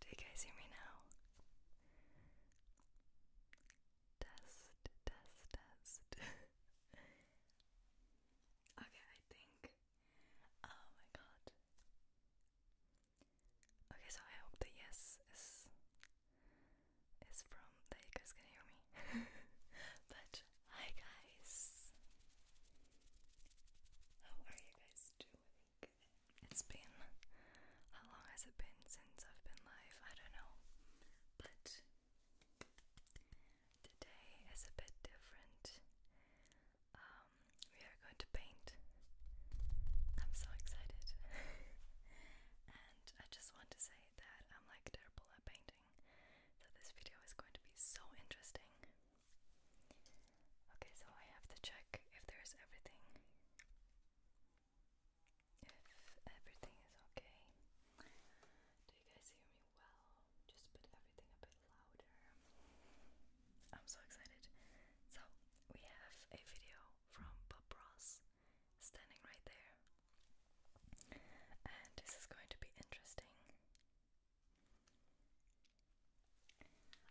Do you guys hear me now? Test, test, test. okay, I think. Oh my god. Okay, so I hope the yes is is from that you guys can hear me. but hi guys. How are you guys doing? it's been how long has it been since I've been live? I don't know. But today is a bit different. Um, we are going to paint. I'm so excited. and I just want to say that I'm like terrible at painting. So this video is going to be so interesting. Okay, so I have to check if there's everything. If everything is okay. Do you guys hear me well? Just put everything a bit louder. I'm so excited. So, we have a video from Bob Ross standing right there. And this is going to be interesting.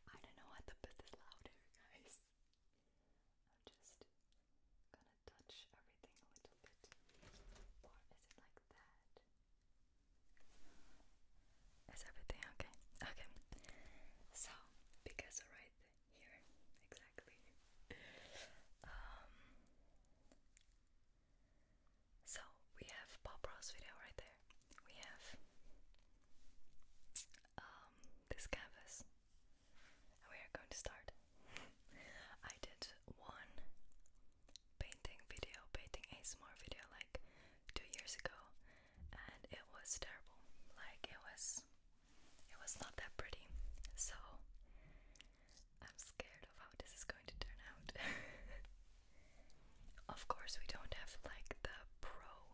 I don't know what to put this louder, guys. I'm just gonna touch everything a little bit. Or is it like that? Is everything okay? Okay. So, because right here, exactly. Um, so we have Bob Ross video right there. We have um, this canvas and we are going to start. I did one painting video, painting a small video like two years ago and it was terrible. Like it was it was not that pretty. So I'm scared of how this is going to turn out. of course we don't have like the pro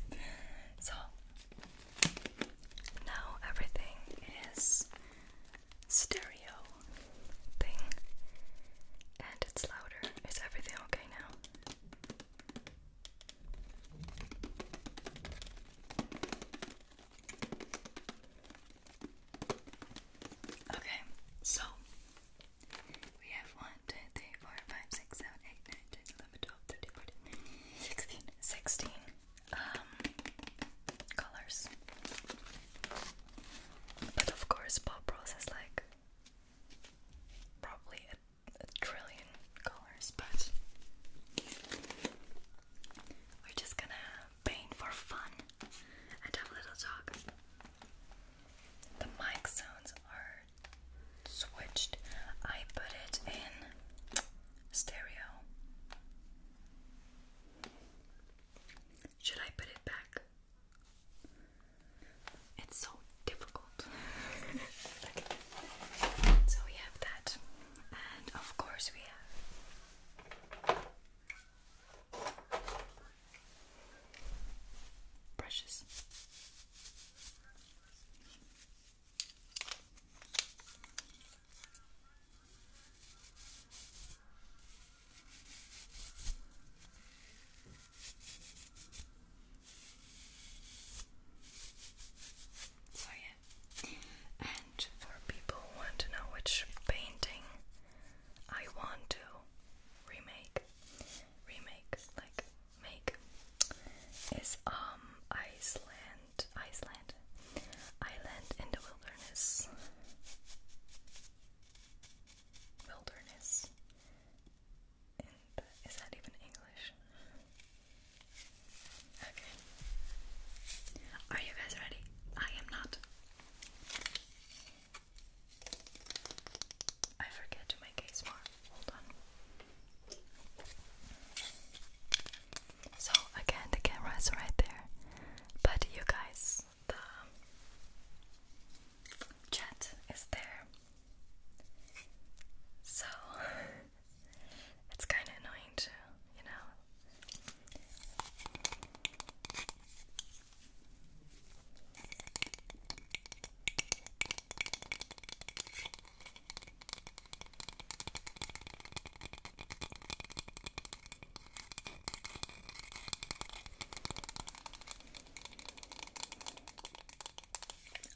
so now everything is stereo thing and it's louder. Is everything okay now? Okay, so we have one 2, 16, um, colors. But of course, Bob Ross has like probably a, trillion colors, but we're just gonna paint for fun and have a little talk. The mic sounds are switched. I put it in stereo. Should I put it back? It's so difficult. So we have that. And of course we have brushes. So, yeah, and for people want to know which painting I want to remake, remake like make is um Iceland, Iceland, Island in the Wilderness, Wilderness. In is that even English? Okay. Are you guys ready? I am not. I forget to make a smart. Hold on. So again, the camera is right there, but you guys, the chat is there. So it's kind of annoying too, you know.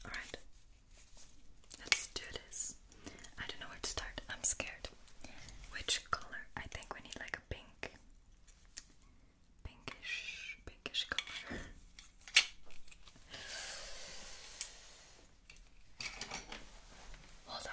All right, let's do this. I don't know where to start. I'm scared. Which color? I think we need like a pink, pinkish, pinkish color. Hold on.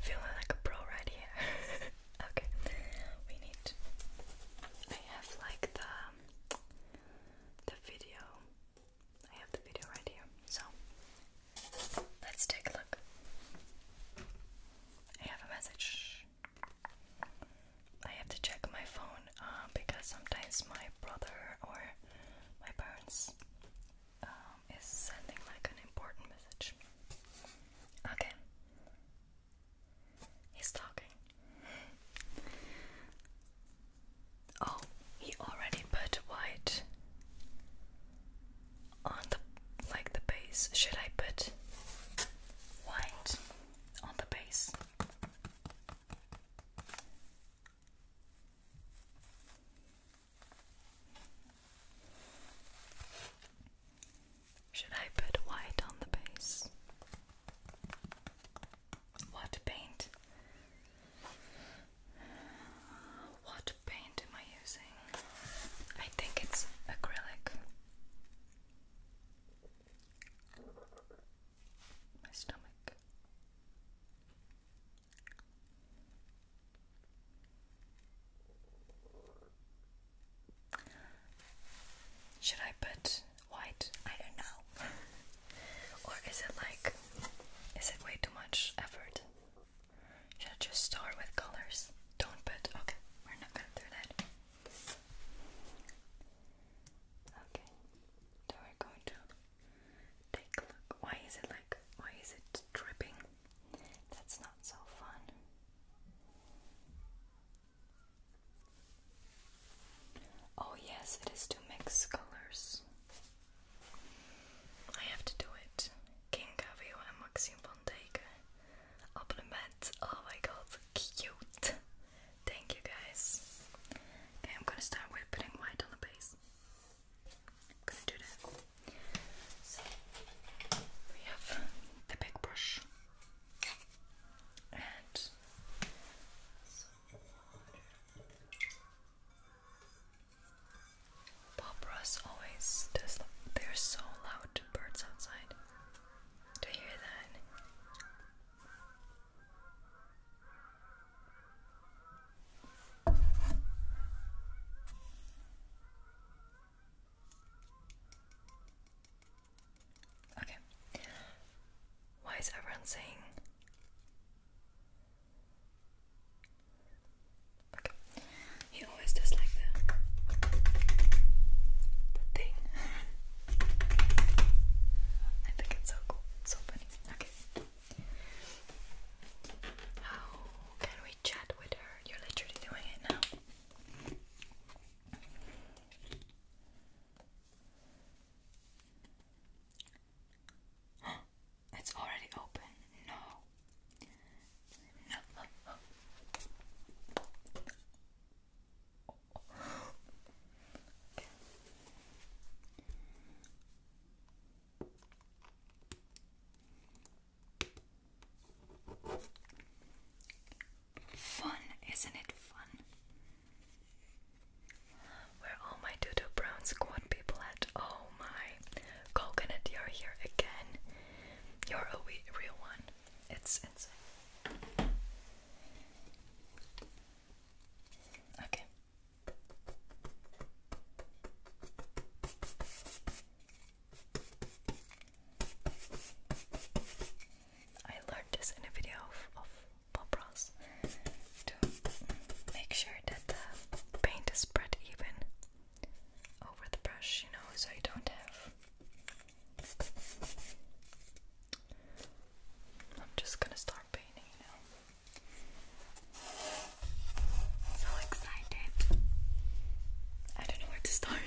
Feeling like a pro right here. Okay, we need. I have like the the video. I have the video right here. So let's take a look. I have a message. I have to check my phone uh, because sometimes my brother or my parents um, is sending like an important message. Okay, He's talking. Oh, he already put white on the like the base. Should I put white on the base? Should I put white on the base? What paint? What paint am I using? I think it's acrylic. My stomach. Should I put white? I don't know. or is it like, is it way too much effort? Should I just start with colors? Don't put, okay, we're not gonna that. Okay, so we're going to take a look. Why is it like, why is it dripping? That's not so fun. Oh, yes, it is to mix colors. I have to do it. King Gavio and Maxime van Dijk. Compliment. Oh my god, cute. Thank you guys. Okay, I'm gonna start with putting white on the base. I'm gonna do that. So, we have the big brush. Bob Ross always does. They're so loud, birds outside. Do you hear that? Okay. Why is everyone saying? Okay. He always does like the the thing. I think it's so cool, so funny. Okay. How can we chat with her? You're literally doing it now it's already open. No. No. Fun, isn't it fun? Where all my doodle -doo brown squad people at? Oh my, coconut, you're here again. You're a real one. It's Okay. I learned this in a video of, Bob Ross to make sure that the paint is spread even over the brush, you know, so you don't have. I'm just gonna start painting now. So excited! I don't know where to start.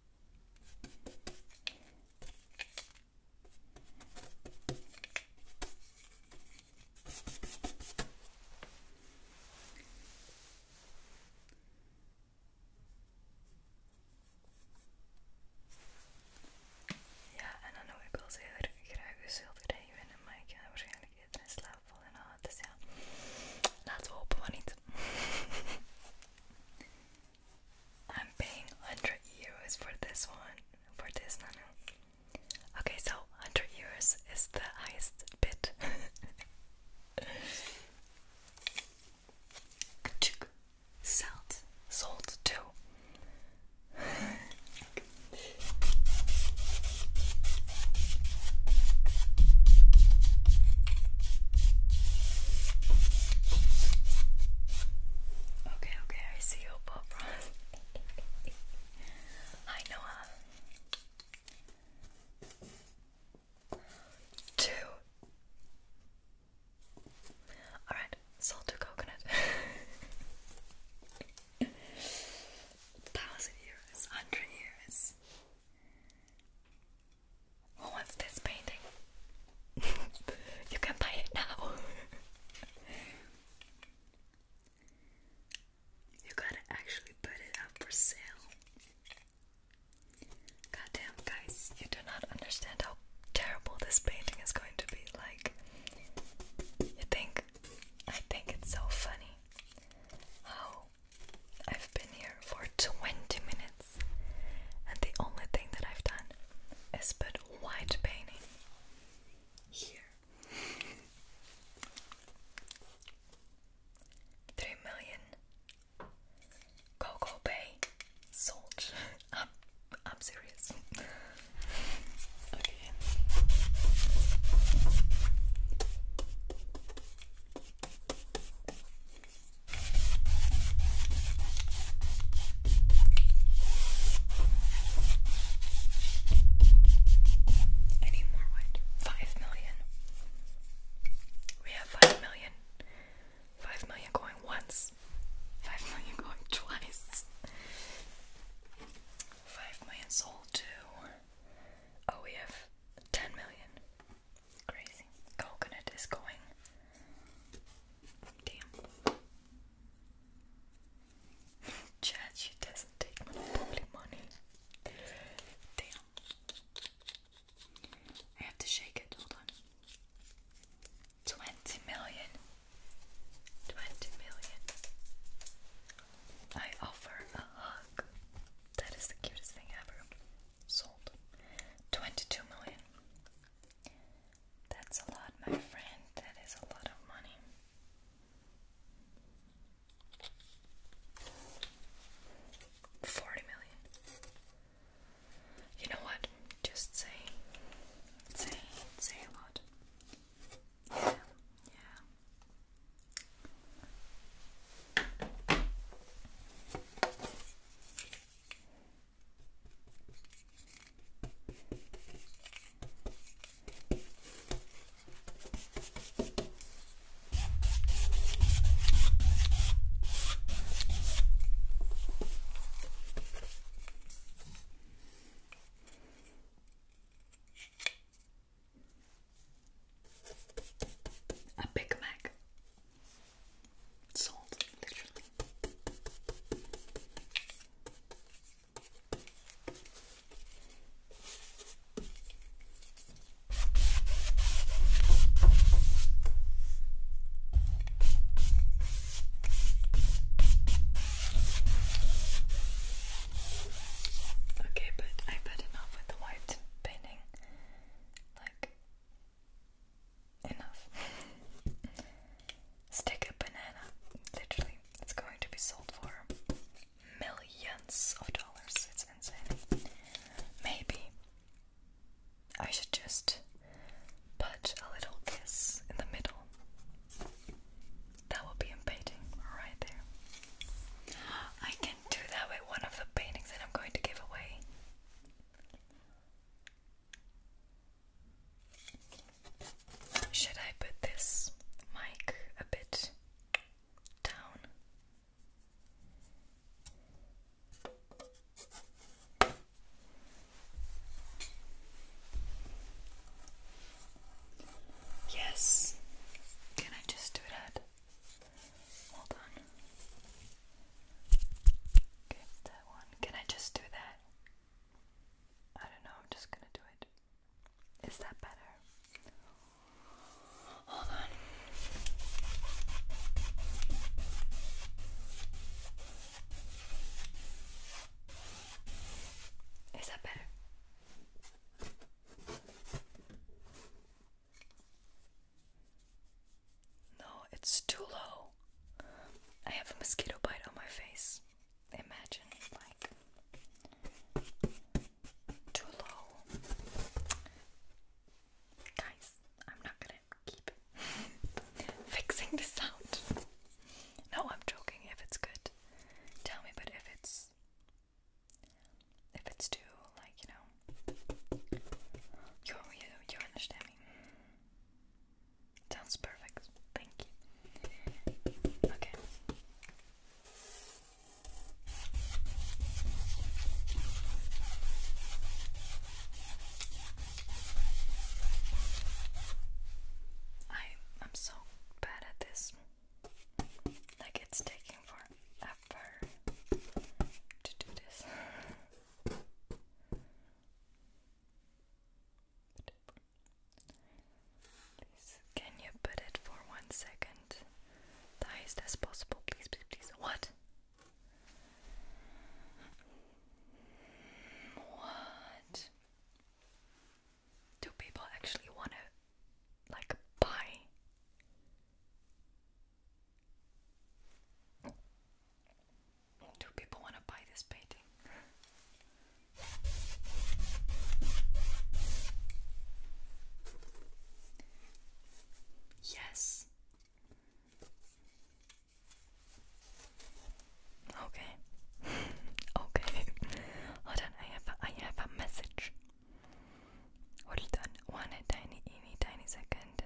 Ja, en dan ook ik wel heel erg graag gezulderij winnen, maar ik ga waarschijnlijk eerder in slaap vallen. Nou, dus ja, laten we hopen maar niet. I'm paying 100 euros for this one, for this one. Okay, so 100 euros is the highest bit. Salt. Salt too. Okay, okay, I see you, Bob Ross. Hi, Noah. Two. Alright, salted coconut. Thousand euros, hundred euros. Who wants this painting? you can buy it now. you gotta actually put it up for sale. Goddamn, guys, you do not understand how terrible this painting is going to be. Like, you think, I think it's so funny how I've been here for 20 minutes. And the only thing that I've done is put white painting here. Three million Coco Bay sold. I'm serious. okay. I need more white. Five million. We have five million. Five million going once. Five million going twice. Five million sold too. Oh, we have ten million. Crazy. Coconut is going Damn. Chad, she doesn't take monopoly money. Damn. I have to shake it, hold on. 20 million. I offer a hug. That is the cutest thing ever. Sold. 22 million. That's a lot, my friend. That is a lot of money. Forty million. You know what? Just say, say, say a lot. Yeah, yeah. A Big Mac. Sold, literally. Okay, but I've had enough with the white painting. Like, enough. Stick a banana. Literally, it's going to be sold for millions of dollars. It's insane. Maybe I should just put a little kiss in the middle. That will be a painting right there. I can do that with one of the paintings that I'm going to give away. Should I put this mic a bit down? Yes. Can I just do that? Hold on. Okay, that one. Can I just do that? I don't know, I'm just gonna do it. Is that better? Hold on. Is that better? No, it's too low. I have a mosquito bite on my face. Imagine, like, too low. Guys, I'm not gonna keep fixing this out. No, I'm joking. If it's good, tell me. But if it's if it's too, like, you know, you you you understand me. Sounds perfect. Thank you. Okay. I I'm so bad at this. Like it's taking forever to do this can you put it for one second? The highest as possible, please, please, please. What? What? Do people actually want to, like, buy? Do people want to buy this painting? yes. Okay. okay. Hold on, I have a, I have a message. Hold on, one tiny, teeny, tiny second.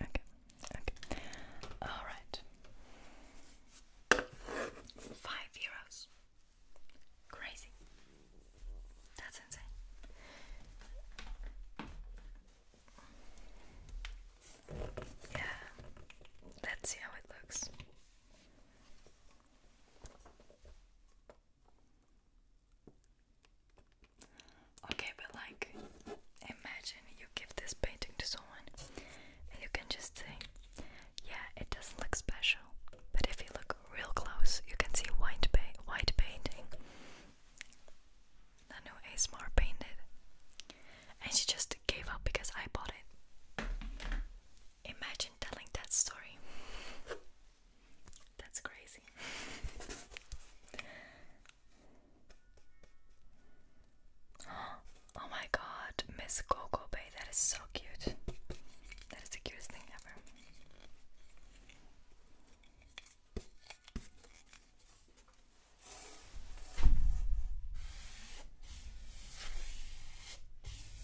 Okay, okay. Alright. Five euros. Crazy. That's insane. Yeah, let's see how it looks. Okay, but like, imagine you give this painting to someone and you can just say, yeah, it doesn't look special, but if you look real close, you can see white, pa white painting. The new ASMR painted. And she just gave up because I bought it. Imagine telling that story. That's crazy. oh my god, Miss Coco Bay, that is so cute. That is the cutest thing ever.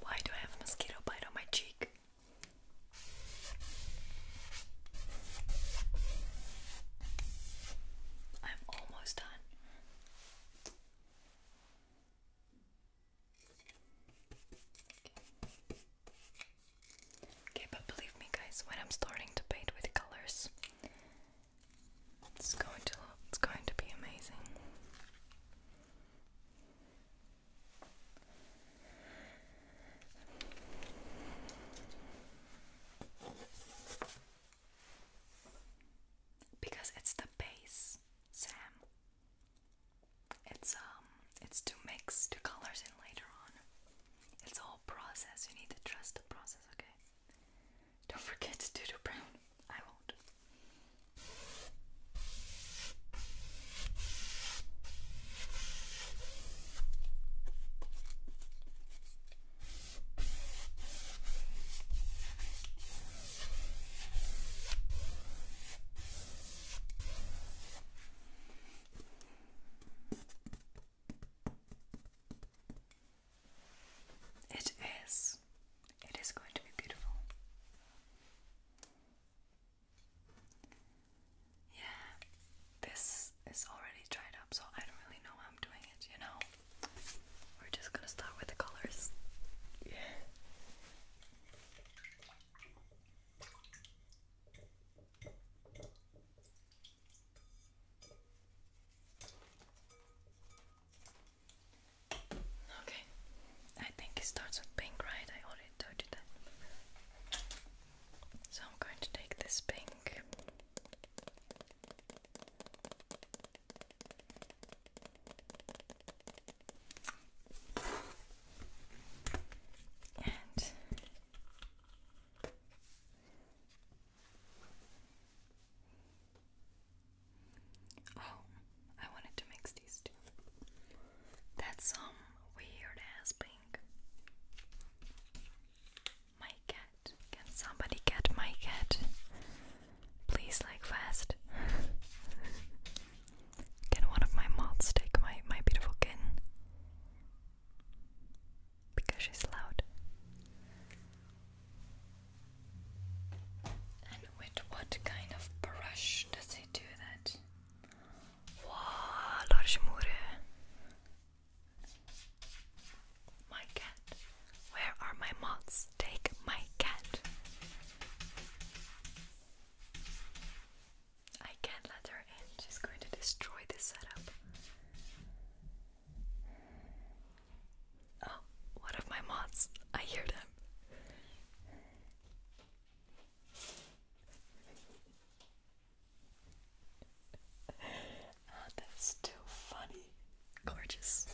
Why do I have a mosquito bite on my cheek? I'm almost done. Okay. but believe me, guys, when I'm starting to paint with colors, it's going to it's going to be amazing. Because it's the base, Sam. It's um it's to mix the colors in later on. It's a whole process. You need to trust the process, okay? Don't forget to do the brown. I won't. It is it is going to be beautiful. Yeah, this is already dried up, so I don't really know how I'm doing it, you know? We're just gonna start with the colors. Yeah. Okay. I think it starts with pink, right? I already told you that. So I'm going to take this pink. Oh, I wanted to mix these two. That's some um, weird ass pink. My cat. Can somebody get my cat? Please, like, fast. Can one of my mods take my, my beautiful kitten? Because she's loud. And with what kind of brush does he do that? Wow, Larshmure. My cat. Where are my moths? Take my cat. I can't let her in. She's going to destroy this setup. Oh, of my moths? I hear them. Oh, that's too funny. Gorgeous.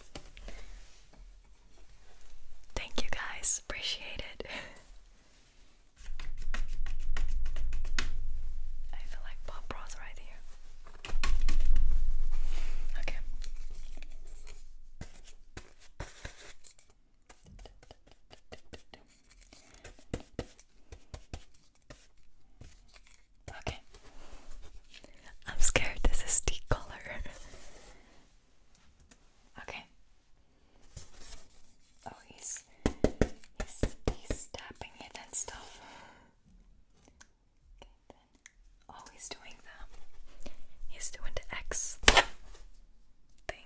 Thank you guys. Appreciate it. I feel like Bob Ross right here. Okay. Okay. I'm scared this is deep color. okay. Oh, he's he's he's tapping it and stuff. Okay, then he's doing the. He's doing the X thing.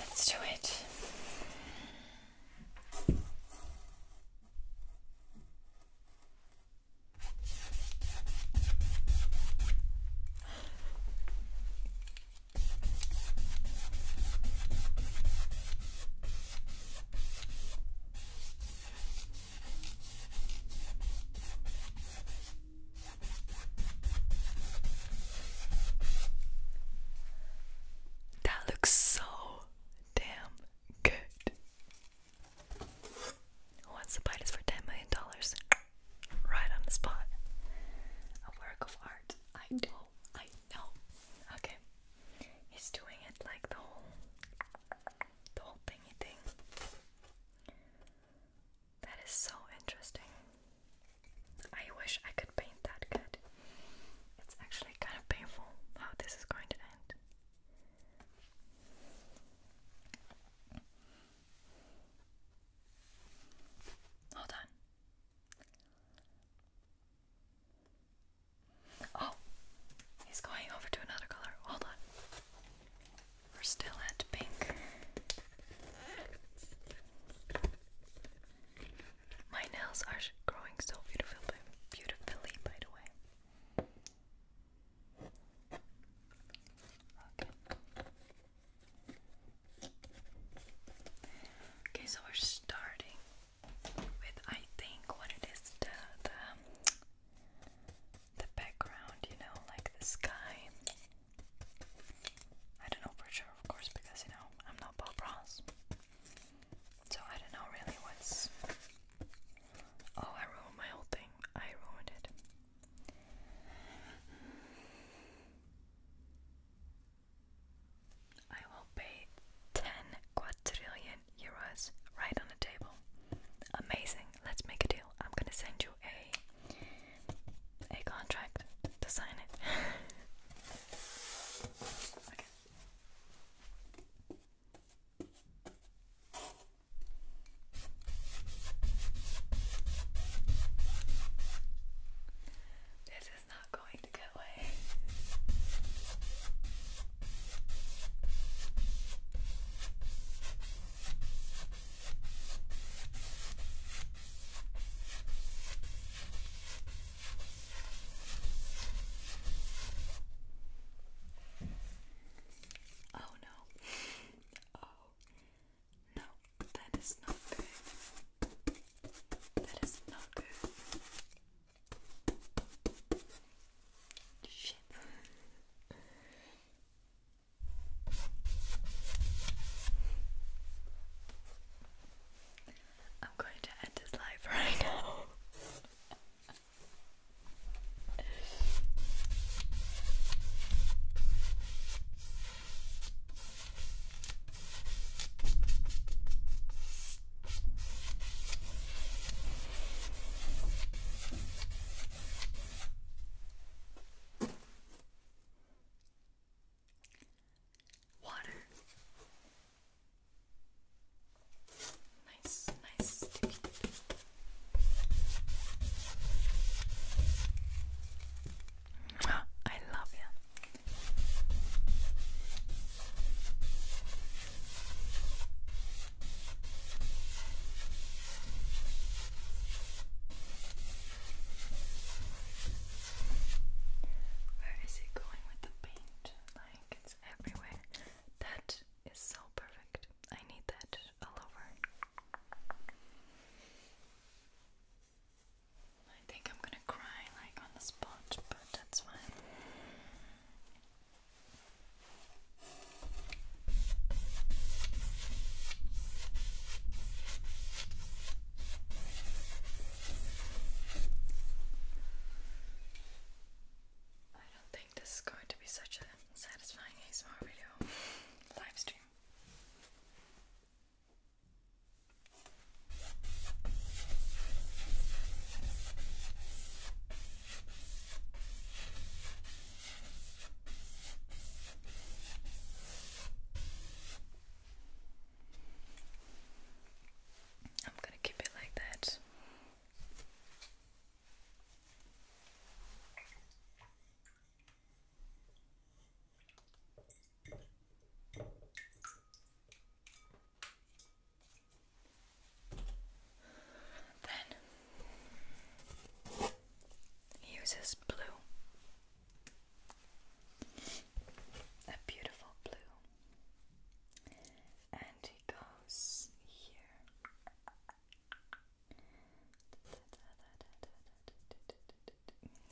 Let's do it. That looks so damn good. Once the bite is for ten million dollars, right on the spot. A work of art. I know, I know. Okay, he's doing it like the whole the whole thingy thing. That is so interesting. I wish I could paint that good. It's actually kind of painful how this is going to end. Hold on. Oh, he's going over to another color. Hold on. We're still at pink. My nails are growing so beautifully, by the way. Okay. so we're starting with I think what it is the the background, you know, like the sky. I don't know for sure, of course, because you know, I'm not Bob Ross. So I don't know really what's. Oh, I ruined my whole thing. I ruined it. I will pay 10 quadrillion million euros right on the table. Amazing. Let's make a deal. I'm gonna send you a a contract to sign it. okay. This is not going to go away. Oh no. Oh no, that is not good. That is not good. I'm going to end his life right now. Water. Nice, nice I love you. Where is it going with the paint? Like it's everywhere. That is so perfect. I need that all over. I think I'm gonna cry like on the spot, but that's fine. I don't think this is going to be such a satisfying small video live stream. I'm going to keep it like that. Then uses blue. A beautiful blue. And he goes here.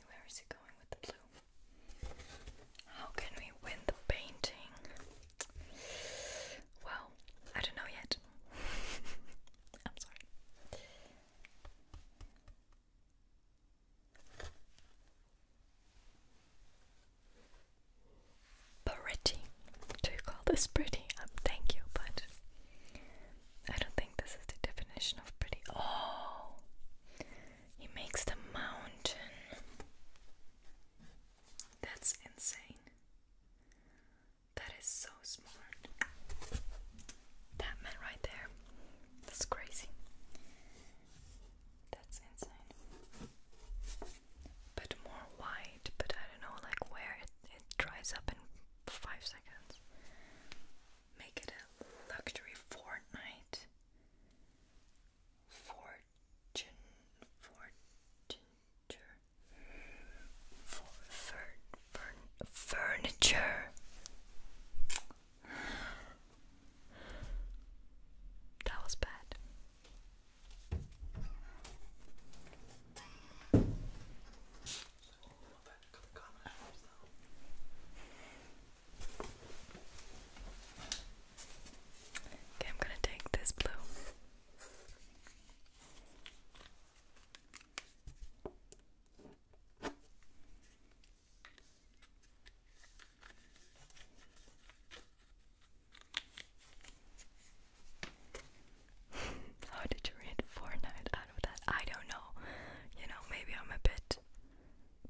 Where is he going with the blue? How can we win the painting? Well, I don't know yet. I'm sorry. Pretty. Do you call this pretty? Um, thank you, but I don't think this is the definition of pretty. Oh, he makes the mountain. That's insane. That is so smart. That man right there. That's crazy. That's insane. But more white, but I don't know like where it, it dries up in five seconds. Make it a luxury fortnight. Fortune fortune for fur, furniture. That was bad. Okay, I'm gonna take this blue. How did you read Fortnite out of that? I don't know. You know, maybe I'm a bit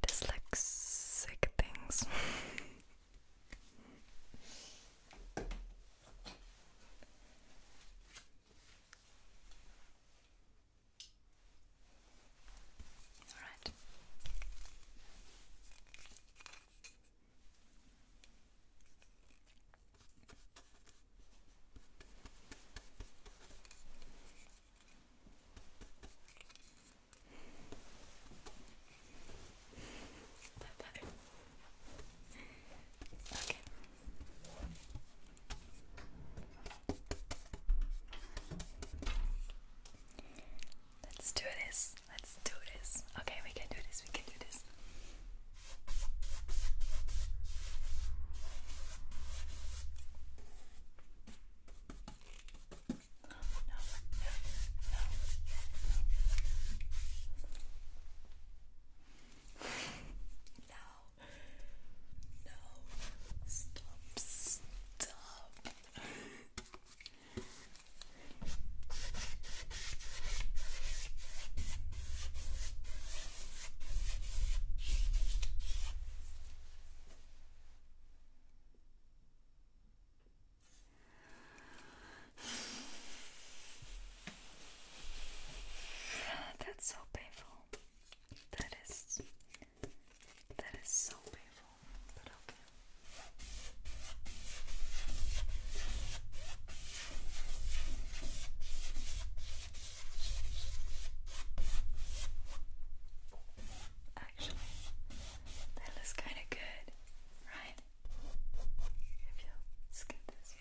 dyslexic things. All right. Bye bye. Let's do this. Let's do this. Okay, we can do this. We can do this. No. No. Stop. Stop. That's so painful. That is that is so painful, but okay. Actually, that kind of good, right? if you skip this.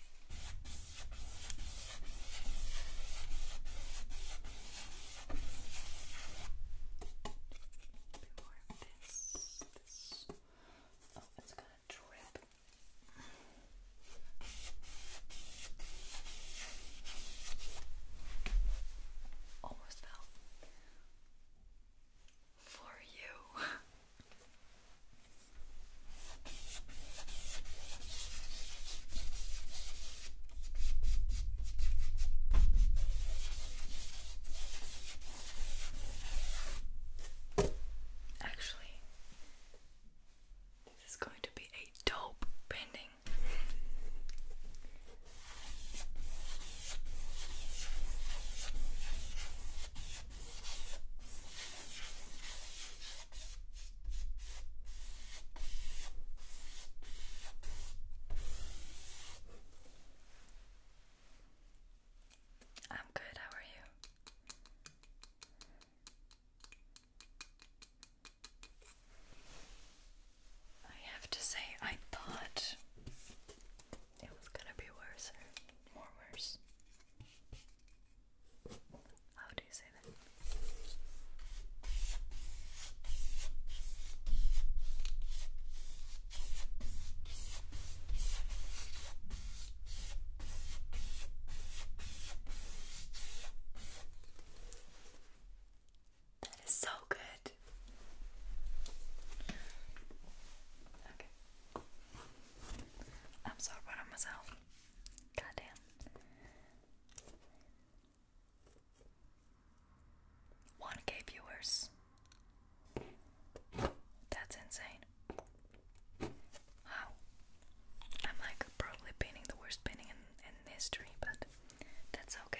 A bit more of this. Oh, it's gonna drip. Almost fell. For you. Actually, this is going to be a dope painting. I'm good, how are you? I have to say, I thought it was gonna be worse or more worse. How do you say that? That is so good. Okay. I'm so proud of myself. Goddamn. One K viewers. That's insane. Wow. I'm like probably painting the worst painting in, in history, but that's okay.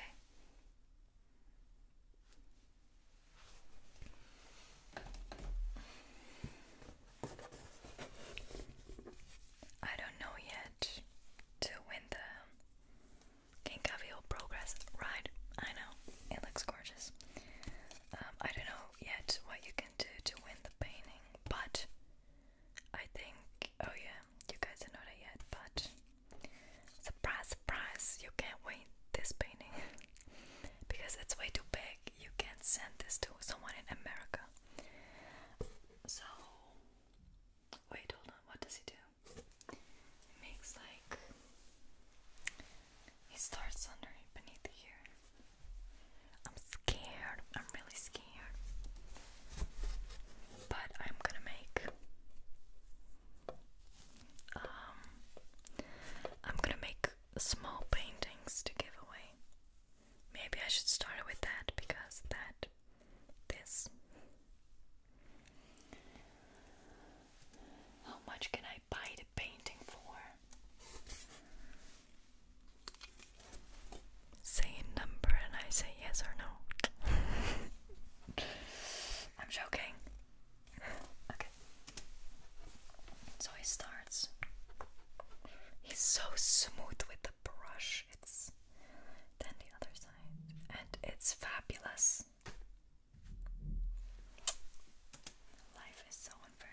I don't know yet to win the King Cavill Progress ride. I know, it looks gorgeous. Um, I don't know yet what you can do to win the painting, but I think, oh yeah, you guys don't know that yet, but surprise, surprise, you can't win this painting because it's way too big you can't send this to someone in America. So wait, hold on. What does he do? makes like he starts under beneath here. I'm scared. I'm really scared. But I'm gonna make. Um, I'm gonna make small paintings to give away. Maybe I should start with that because that this How much can I buy the painting for? Say a number and I say yes or no. I'm joking. Okay. So it starts He's so smooth with the brush. It's then the other side, and it's fabulous. Life is so unfair.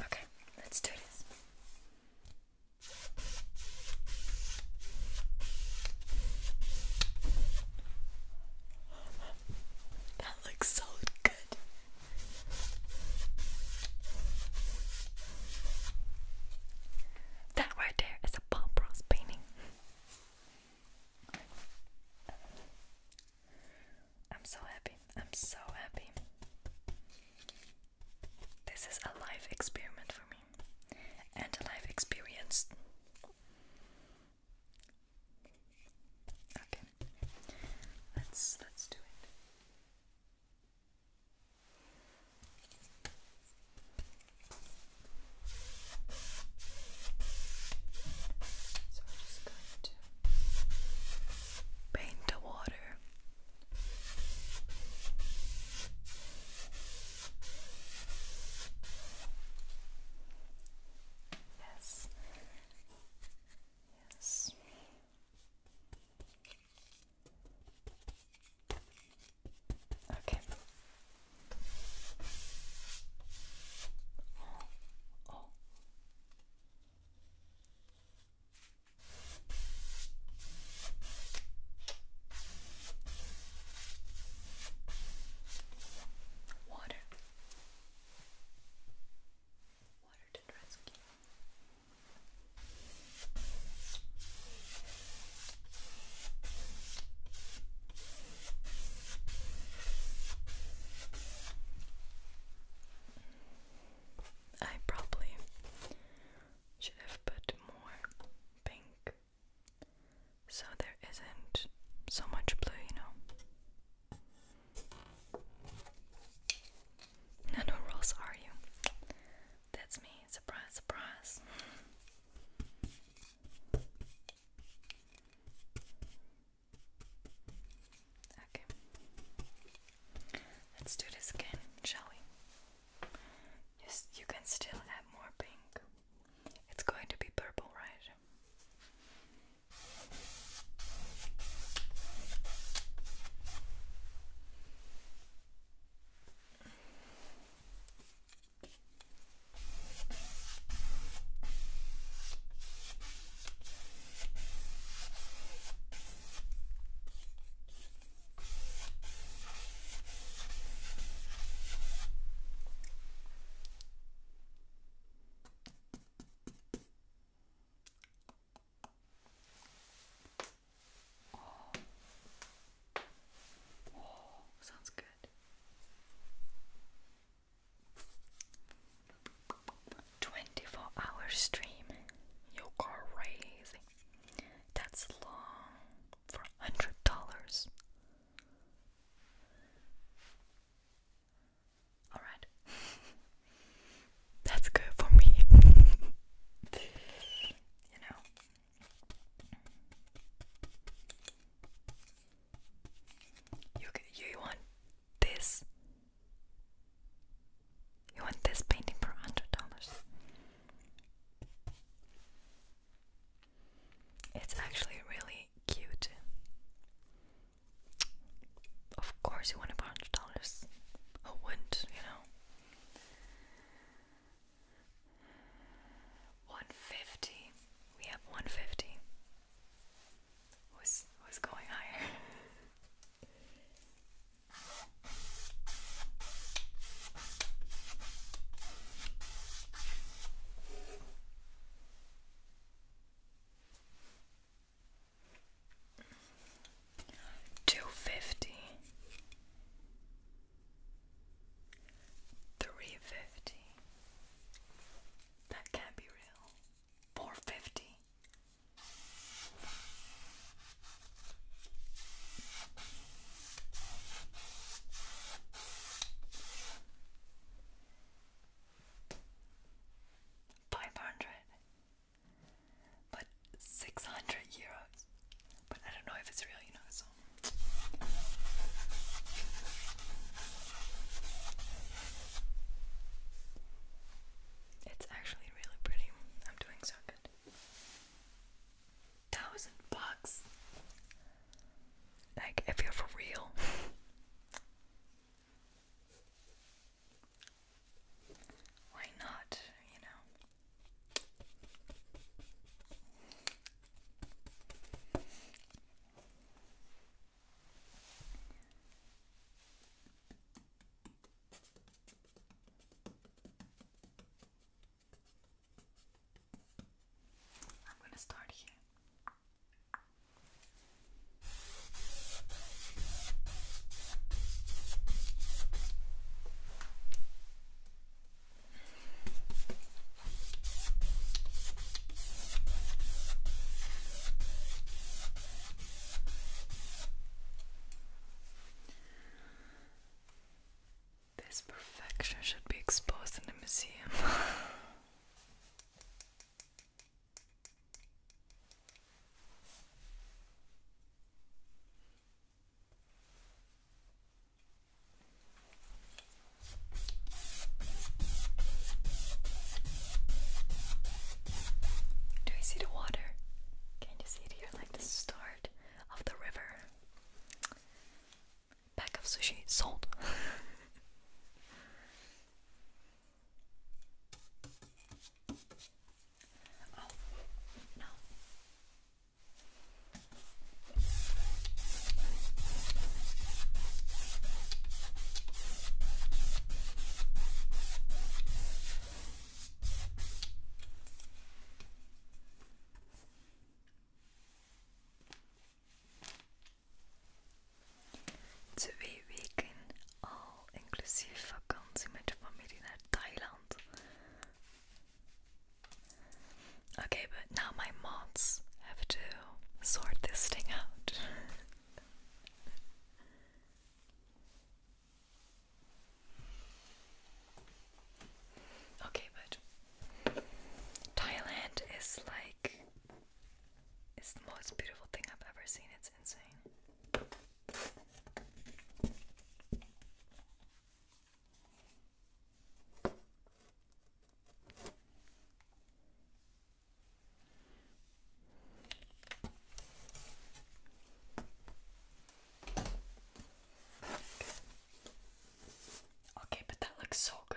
Okay, let's do this. That looks so good. That right there is a Bob Ross painting. I'm so happy. I'm so happy. This is a life experiment for me and a life experience. Okay. Let's let's do it. So I'm just going to paint the water. Yes. Yes. Okay. Oh. Oh. Water. Water to rescue. I probably should have put more pink so there isn't so much blue, you know. Nano rolls, are you? That's me. Surprise, surprise. Okay. Let's do this again, shall we? Just you can still add more pink. It's going to be purple, right? Oh. Oh, sounds good. 24 hour stream. You go crazy. That's long for hundred dollars. Alright. That's good for me. you know. You you want this? You want this painting for hundred dollars? It's actually really cute. Of course, you want it for hundred dollars. Who wouldn't? You know. 150 we have 150 was was going higher. Two fifty, three fifty, that can't be real. 450. Five hundred, but six hundred euros. But I don't know if it's real, you know. It's actually really pretty. I'm doing so good. Thousand bucks. Like, if you're for real. Why not, you know? I'm going to start here. This perfection should be exposed in the museum. Do you see the water? Can you see it here? Like the start of the river. Pack of sushi sold. oh no. Twee weken al inclusief vakantie met je familie naar Thailand. Okay, but now my mods have to sort this thing out. okay, but Thailand is like it's the most beautiful thing I've ever seen. It's insane. Okay, but that looks so good.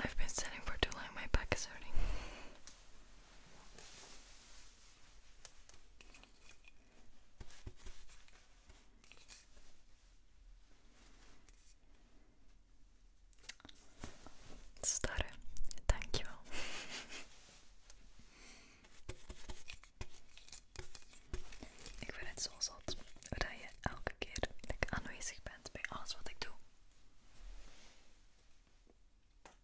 I've been sitting for too long, my back is hurting. Stare, Ik vind het zo zot dat je elke keer dat ik aanwezig bent bij alles wat ik doe.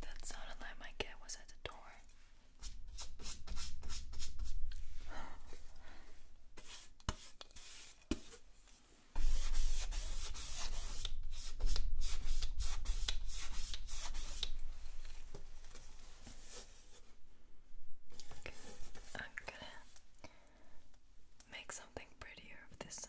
That sounded like my cat was at the door. I'm gonna make something prettier of this side.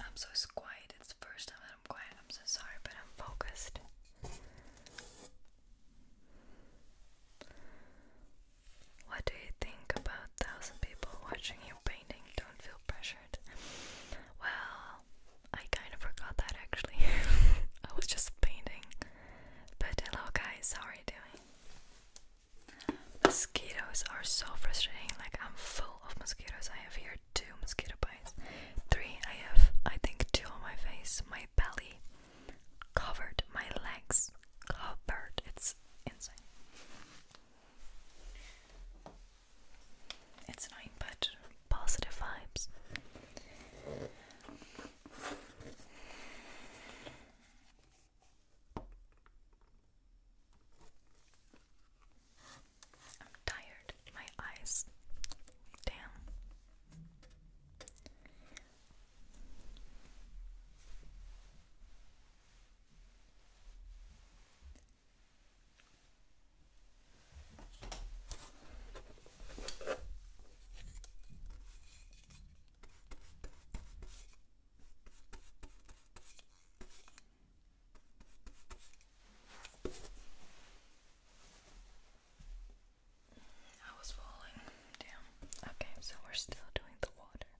I'm so quiet. It's the first time that I'm quiet. I'm so sorry, but I'm focused. What do you think about thousand people watching you painting? Don't feel pressured. Well, I kind of forgot that actually. I was just painting. But hello guys, how are you doing? Mosquitoes are so frustrating. Like I'm full of mosquitoes. I have here two mosquito bites. Three, I have I think two on my face, my belly covered, my legs covered. It's insane. It's annoying, but positive vibes. I'm tired. My eyes. Damn. I was falling. Damn. Okay, so we're still doing the water.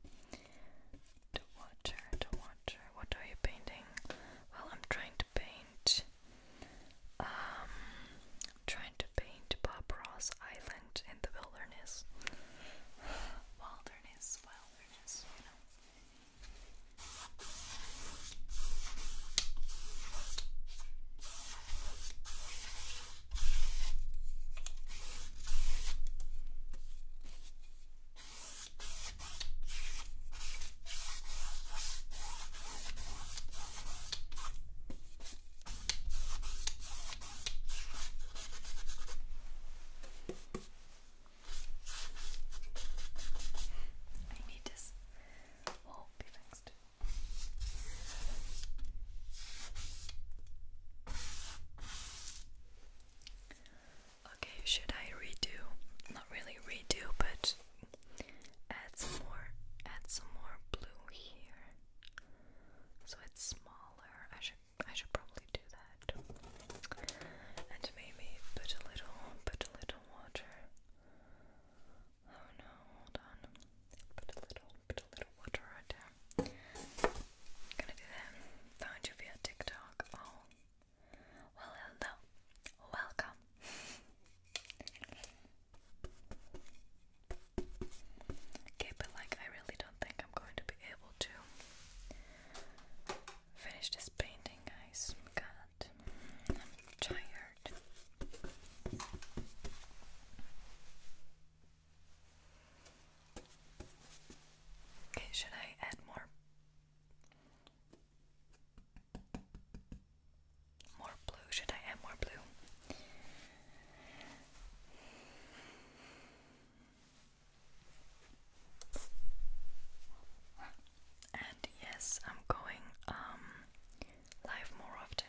The water, the water. What are you painting? Well, I'm trying paint. Um, trying to paint Bob Ross Island in the wilderness. wilderness, wilderness, you know. I need this hole be fixed. Okay, should I redo? Not really redo, but Add some more add some more blue here. So it's smaller. I should I should probably do that. And maybe put a little put a little water. Oh no, hold on. Put a little put a little water right there. Gonna do that. Found you via TikTok. Oh. Well hello. Welcome. Okay, but like, I really don't think I'm going to be able to finish this painting, guys. God, I'm tired. Okay, should I add more more blue, should I add more blue? And yes, I'm going um live more often.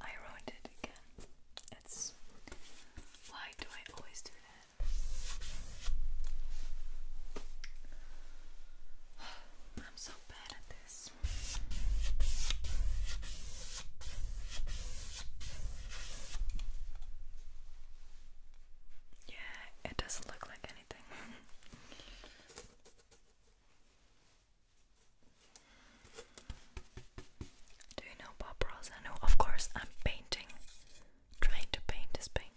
I wrote it again. It's why do I always do that? I'm so bad at this. Yeah, it doesn't look like any. Do you know Bob Ross? I know, of course, I'm painting. Trying to paint this painting.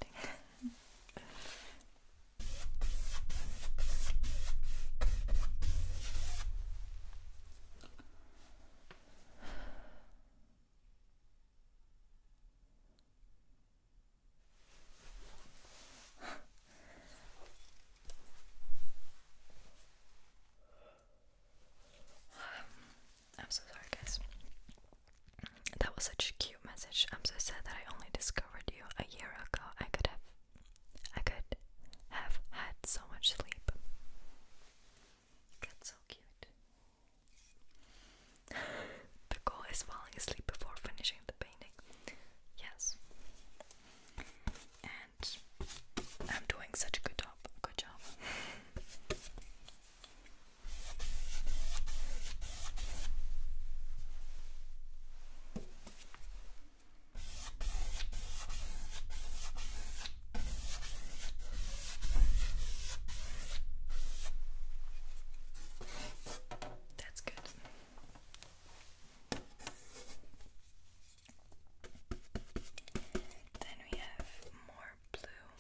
I'm so sorry, guys. That was such a cute message. I'm so sad that I only discovered you a year ago. I could have, I could have had so much sleep. That's so cute the goal is falling asleep before finishing the painting. Yes. And I'm doing such a good job. Good job. That's good. Then we have more blue.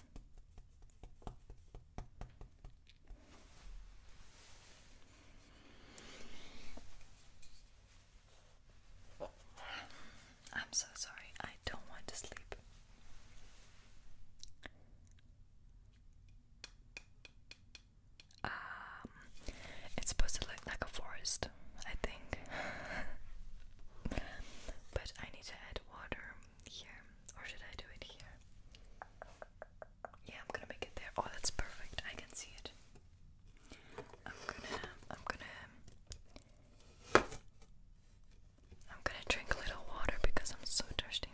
I'm so sorry, I don't want to sleep. Um, it's supposed to look like a forest, I think. but I need to add water here, or should I do it here? Yeah, I'm gonna make it there. Oh, that's perfect. I can see it. I'm gonna, I'm gonna, I'm gonna drink a little water because I'm so thirsty.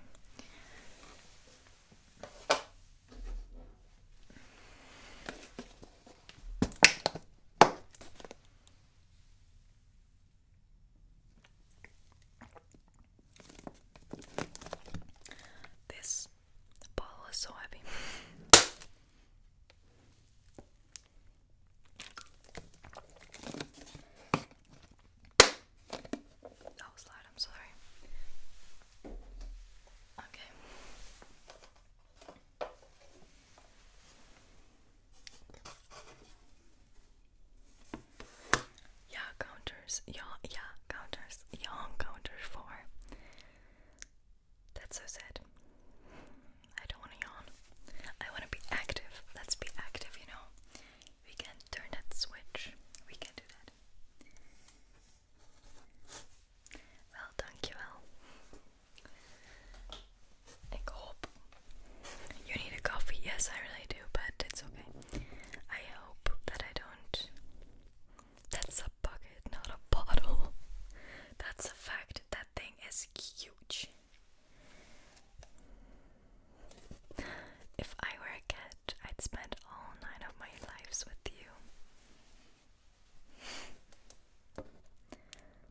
This ball is so heavy. That was loud, I'm sorry. Okay. Yeah, counters. Yeah, yeah, counters. Young counter four. That's so sad. I don't want to yawn. I want to be active. Let's be active, you know we can turn that switch. We can do that. Well, dankjewel. Ik hoop. You need a coffee? Yes, I really do, but it's okay. I hope that I don't. That's a bucket, not a bottle. That's a fact. That thing is huge. If I were a cat, I'd spend all nine of my lives with you.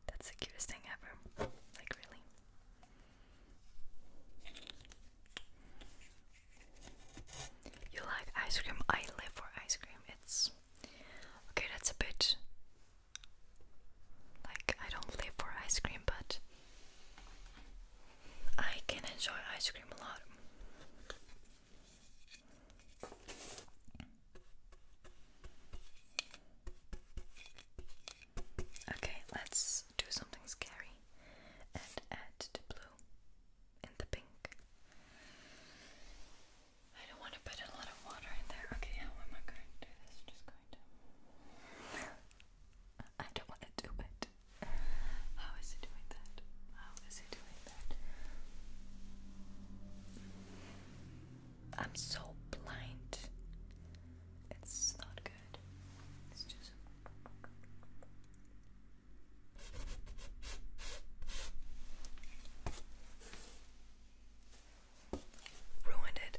That's the cutest thing ever. Like, really. You like ice cream? I live for ice cream. It's. Okay, that's a bit. Like, I don't live for ice cream, but I can enjoy ice cream a lot. Okay, let's do something scary and add the blue and the pink. I don't want to put a lot of water in there. Okay, how am I going to do this? Just going to. I don't want to do it. How is it doing that? How is it doing that? I'm so blind. It's not good. It's just. Ruined it.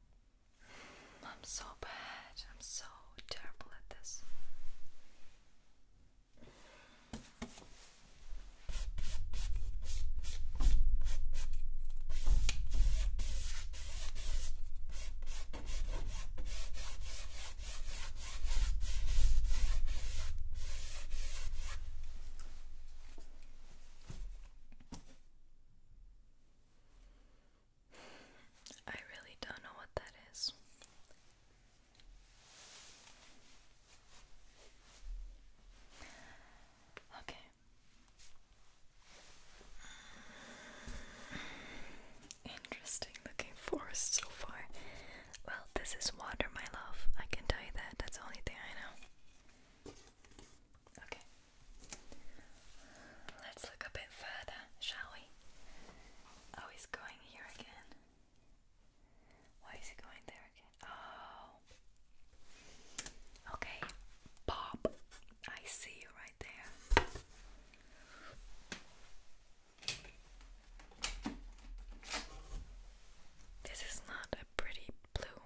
I'm so bad. I'm so terrible at this. I really don't know what that is. Okay. Interesting looking forest so far. Well, this is water, my love. I can tell you that. That's the only thing I know. Okay. Let's look a bit further, shall we? Oh, he's going here again. Why is he going there again? Oh. Okay, Bob. I see you right there. This is not a pretty blue.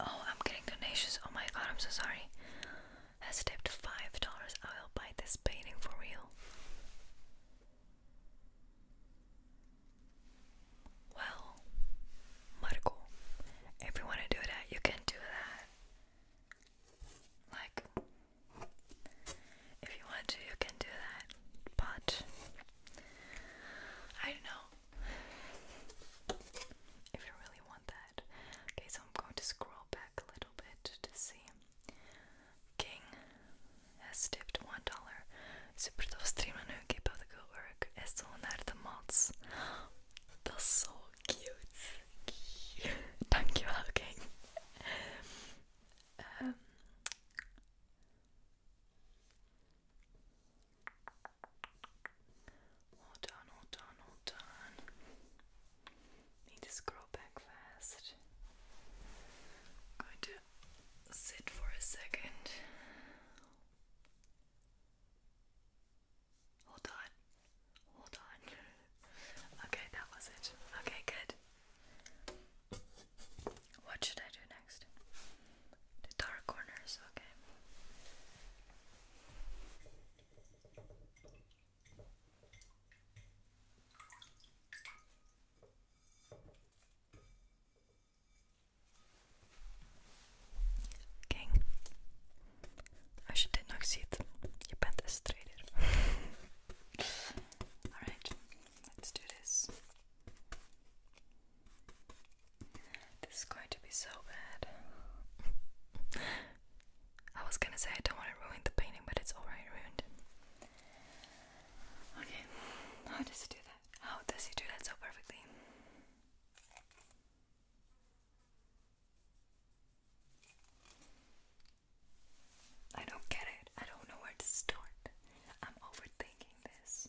Oh, I'm getting donations. Oh my god, I'm so sorry. Has tipped five dollars. I will buy this painting for real. Well, Marco, if you want to do that, you can do that. Like, if you want to, you can do that, but I know if you really want that. Okay, so I'm going to scroll back a little bit to see. King has tipped one dollar. Superdolf streamer nu gave out the good work. Estelle Narda Maltz. That's so cute. Thank you, ähm. Hold on, hold on, hold on. Need to scroll back fast. going to sit for a second. Hold on. Hold on. Okay, that was it. Okay, good. What should I do next? The dark corners, okay. King. Als je dit nog ziet, je bent een strijder. Alright, let's do this. This is going to be so bad. I was gonna say I don't want to ruin the painting, but it's already ruined. Okay, how does he do that? How does he do that so perfectly? I don't get it. I don't know where to start. I'm overthinking this.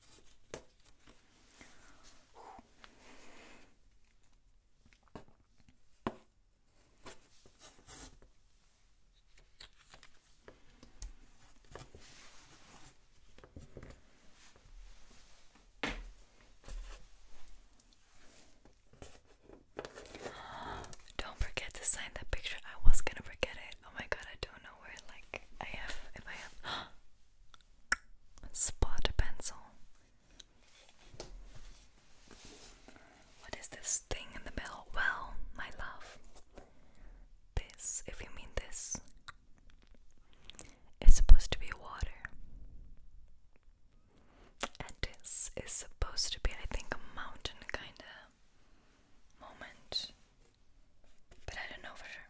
Don't forget to sign that picture. I was gonna forget it. Oh my god, I don't know where like I have if I have spot pencil. What is this thing in the middle? Well, my love. This, if you mean this, is supposed to be water. And this is supposed to be, I think, a mountain, kinda moment, but I don't know for sure.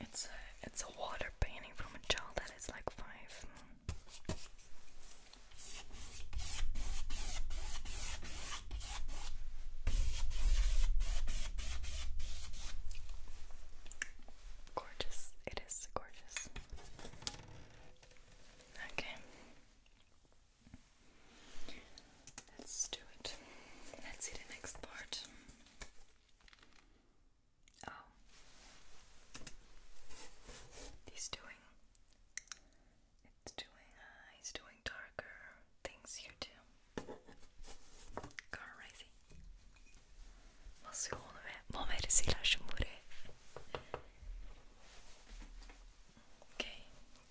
It's a, it's a water painting from a child that is like five. Gorgeous. It is gorgeous. Okay. Let's do it. Let's see the next part. Oh. He's doing it's doing uh, he's doing darker things here too. Crazy. Mas eu não me mereci la chumure. Okay,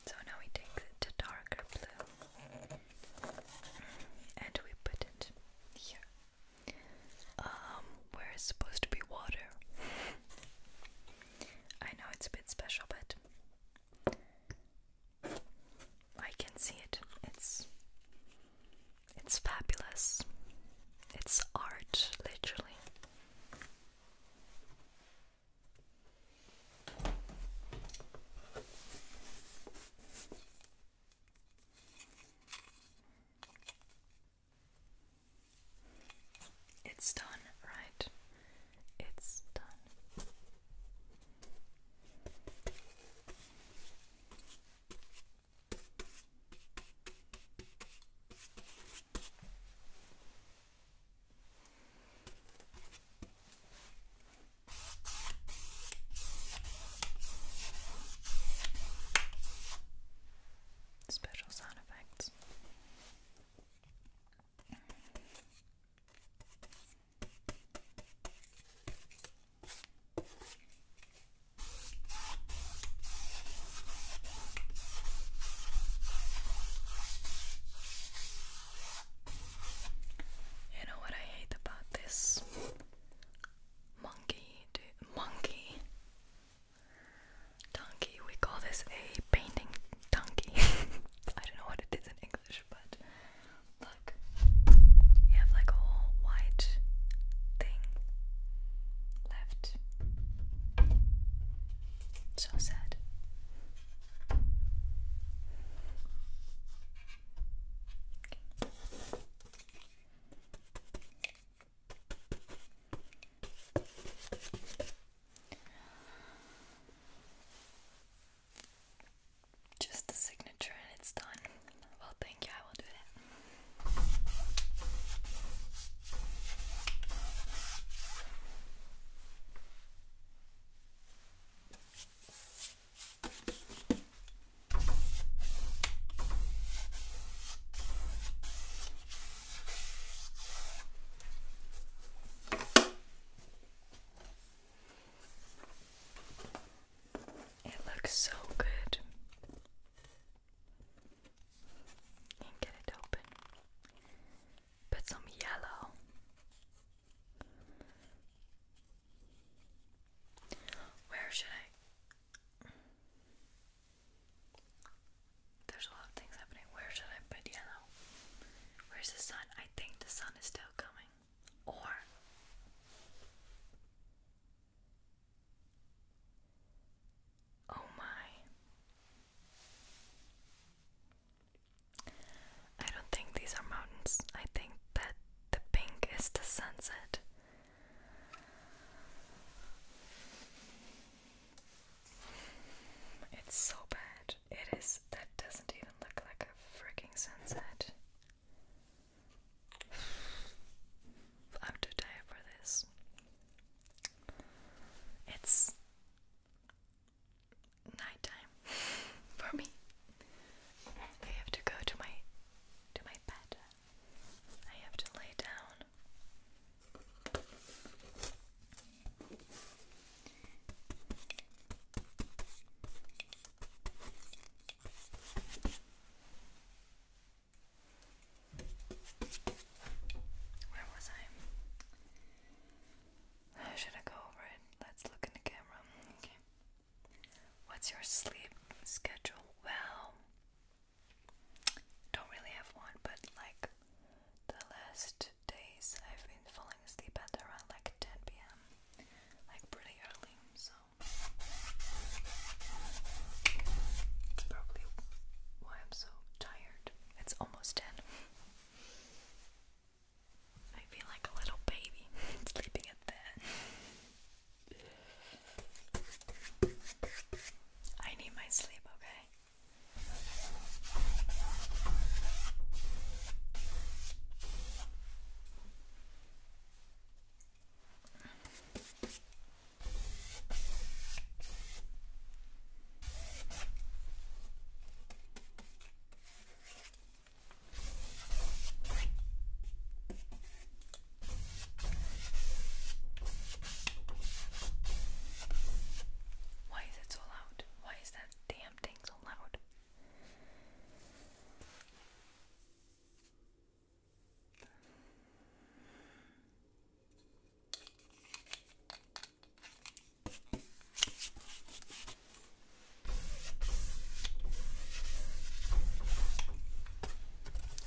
so now we take it darker blue and we put it here um, where it's supposed to be water. I know it's a bit special, but I can see it. It's it's fabulous. It's art, literally. It's done, right? It's done. Special sound effects. You know what I hate about this? monkey, monkey, donkey. We call this a painting donkey. I don't know what it is in English, but look, you have like a whole white thing left. So sad. Just the signature and it's done. Well, thank you, I will do that. It looks so good. And get it open. Put some yellow. Where should I? There's a lot of things happening. Where should I put yellow? Where's the sun? I think the sun is still coming. Or Oh my. I don't think these are mountains. I think that the pink is the sunset it's so bad. It is. That doesn't even look like a freaking sunset. I'm too tired for this. It's nighttime for me. I have to go to my to my bed. I have to lay down. Where was I? Should I go over it? Let's look in the camera. Okay. What's your sleep schedule? Well, don't really have one, but like the last days I've been falling asleep around like 10 p.m. Like pretty early, so it's probably why I'm so tired. It's almost 10. I feel like a little baby sleeping at that. I need my sleep, okay? Why is it so loud? Why is that damn thing so loud?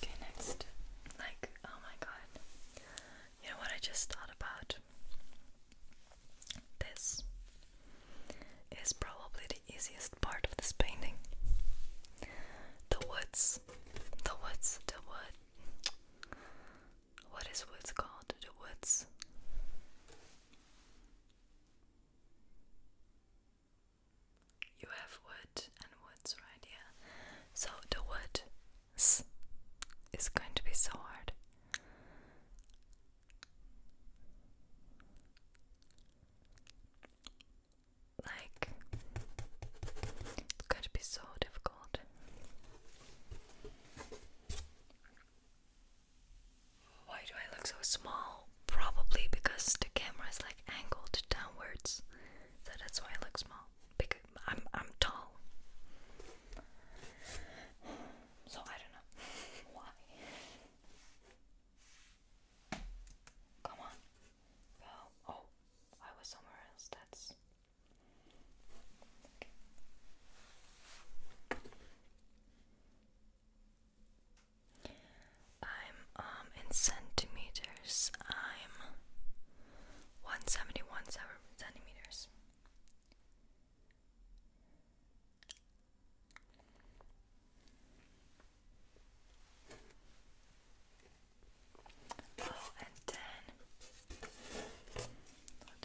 Okay, next. Like, oh my god. You know what I just thought about? This is probably the easiest part of this painting. The woods. The woods. The wood. What is woods called? The woods. You have wood and woods right here. So the wood is going to be so hard. Like, it's going to be so difficult. Why do I look so small? Probably because the camera is like angled downwards. So that's why I look small. Because I'm I'm tall. So I don't know why. Come on. Oh, I was somewhere else. That's I'm um in centimeters. I'm 171 centimeters. Oh, and then hold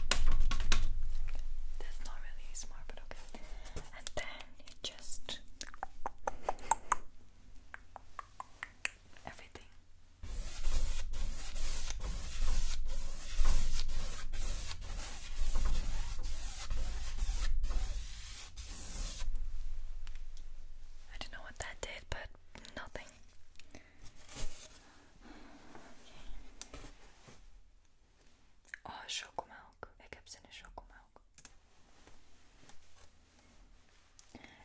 That's not really smart, but okay. And then you just everything. I don't know what that did, but nothing. Oh, chocomelk. Ik heb zin in chocomelk.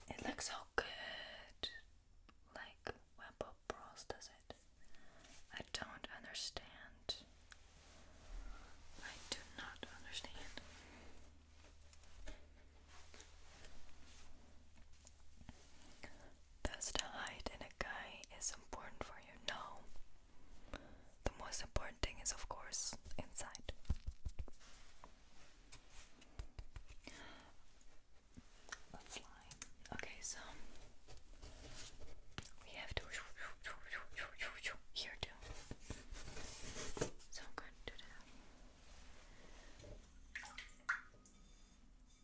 It looks so good. Like Webbo Bros does it. I don't understand. I do not understand. Thus, the height in a guy is important for you. No. The most important thing is, of course, inside. Okay, so we have to here too. So i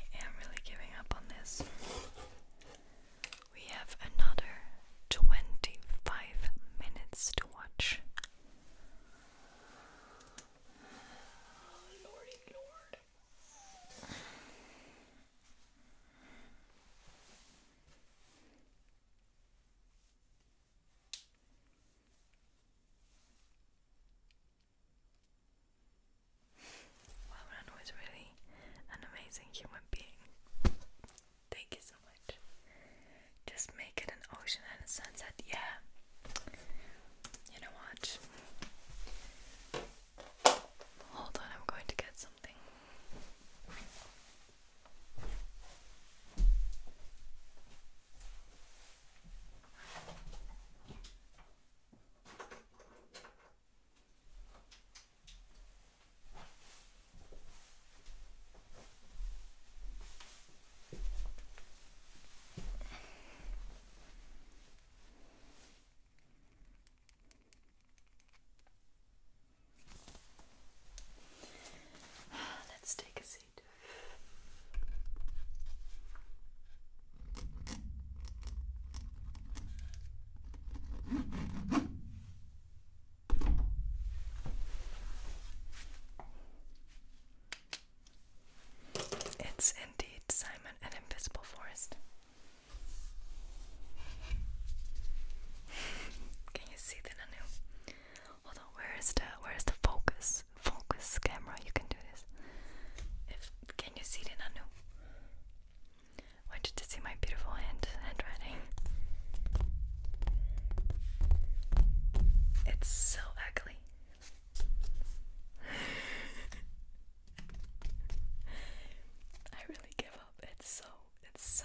I am really giving up on this. We have another 25 minutes to watch. Well, was really an amazing human being. Thank you so much. Just make it an ocean and a sunset. Yeah. You know what? Hold on, I'm going to get something. Let's take a seat. It's indeed Simon and invisible forest. Can you see the nanu? Hold on, where is the where is the focus? focus, camera. You can do this. can you see it, Anu? Want you to see my beautiful hand handwriting? It's so ugly. I really give up. It's so. It's so.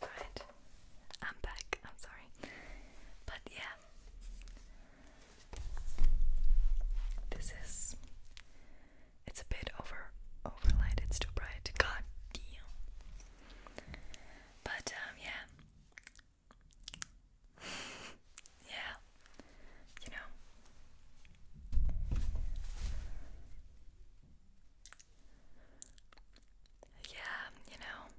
Right, I'm back. I'm sorry, but yeah, this is. It's a bit over overlight. It's too bright. God damn. But um, yeah, yeah, you know. Yeah, you know.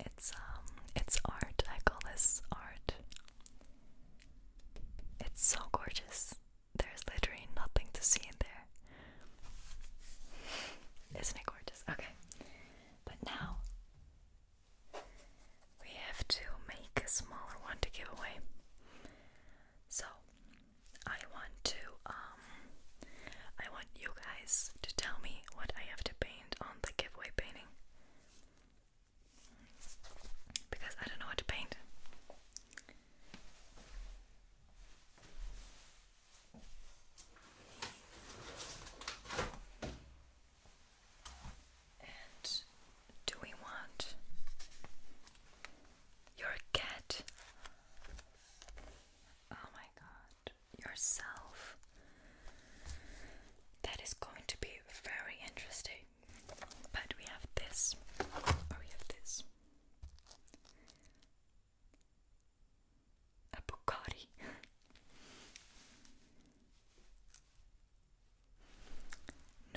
It's um it's art. I call this art. It's so gorgeous. There's literally nothing to see in there. Isn't it gorgeous? Okay. But now we have to make a smaller one to give away. So I want to um, I want you guys to tell me what I have to paint on the giveaway painting. Because I don't know what to paint. And do we want your cat. Oh my god, yourself. That is going to be very interesting. But we have this. Or oh, we have this. A Bucati.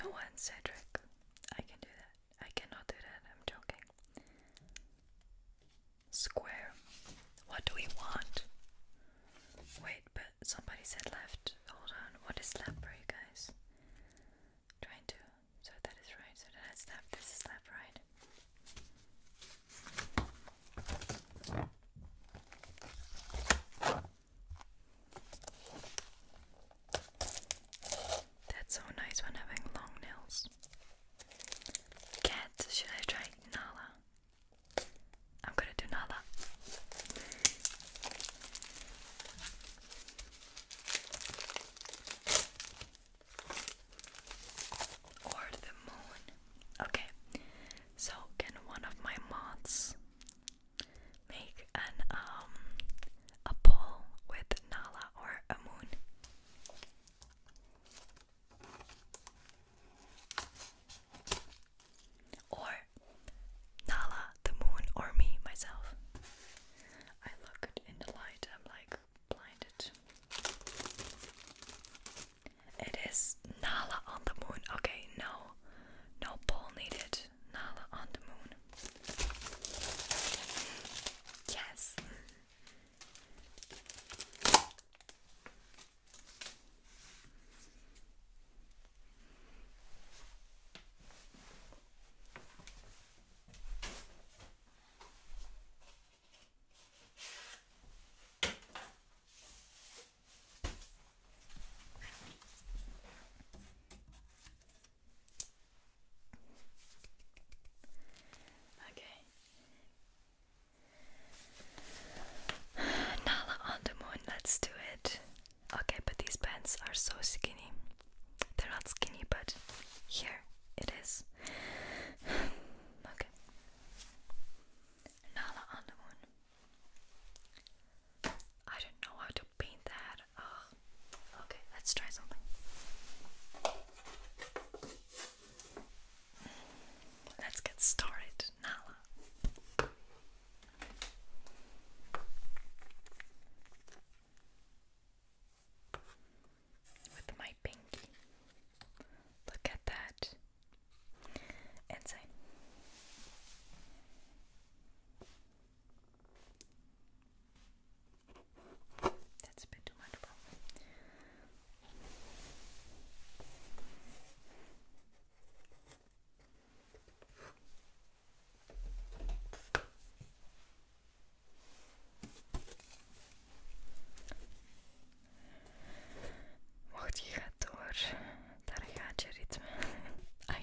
no one, Cedric. I can do that. I cannot do that, I'm joking. Square. What do we want? Wait, but somebody said left. Hold on, what is left for you guys? trying to. So that is right, so that's left, this is left, right. That's so nice when having long nails. Cat, should I try Nala? I'm gonna do Nala. Or the moon. Okay, so can one of my mods make an um a pole with Nala or a moon. Or Nala, the moon, or me, myself. I look in the light, I'm like blinded. It is Nala on the moon. Okay, no, no pole needed. Nala on the Moon. Yes. Okay. Nala on the moon, let's do it. Okay, but these pants are so skinny. They're not skinny, but here it is. okay. Nala on the moon. I don't know how to paint that. Okay, let's try something. Let's get started, Nala. With my pinky. Look at that. Inside. That's a bit too much problem. Mocht je gaat door, daar gaat je ritme. I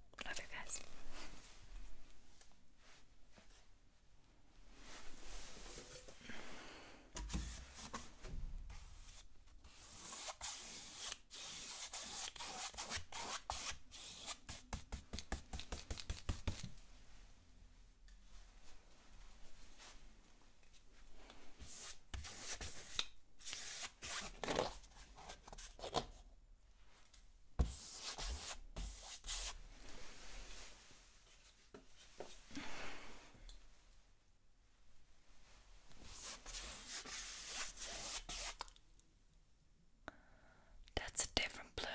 Love you guys. That's a different blue.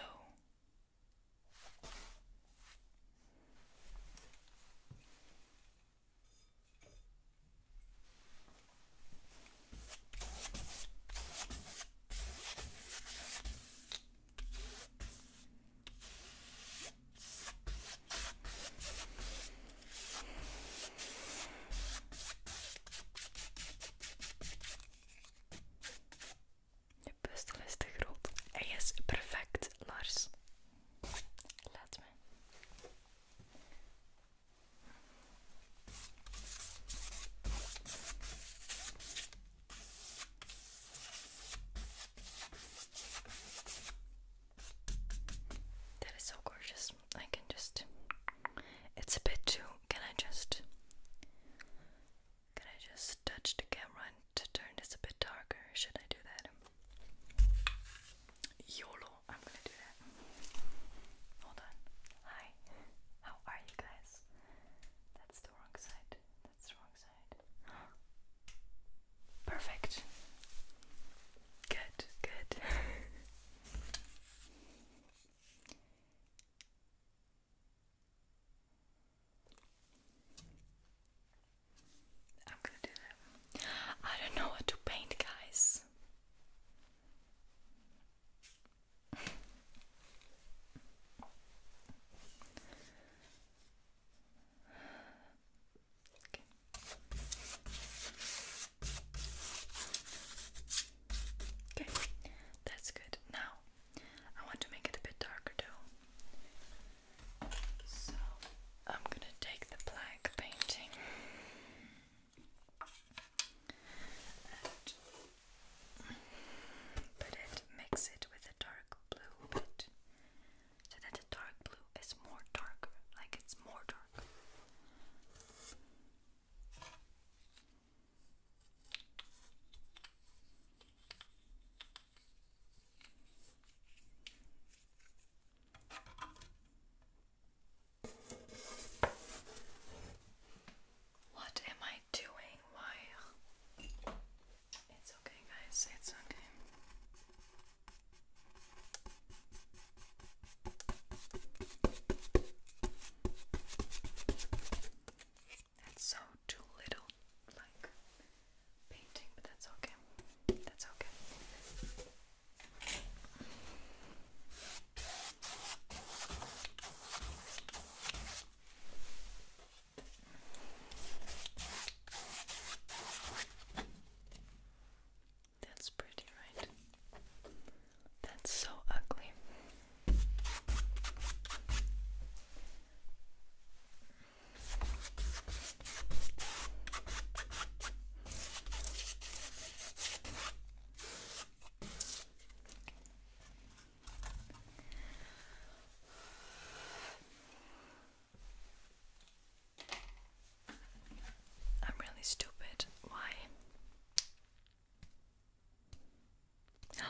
De pustel is te groot. Hij is perfect, Lars. Laat me. That is so gorgeous. I can just. It's a bit too. Can I just. Can I just touch the camera to turn this a bit darker? Should I do that? I'm gonna do that. Hold on. Hi. How are you guys? That's the wrong side. That's the wrong side. Perfect. Good, good. I'm gonna do that. I don't know what to paint, guys. Okay. Okay, that's good. Now I want to make it a bit darker though. So I'm gonna take the black painting and but it mix it with a dark blue bit so that the dark blue is more darker, like it's more dark. What am I doing? Why? It's okay, guys. It's okay. That's so too little, like painting, but that's okay. That's okay. That's pretty, right? That's so ugly. I'm really stupid. Why? that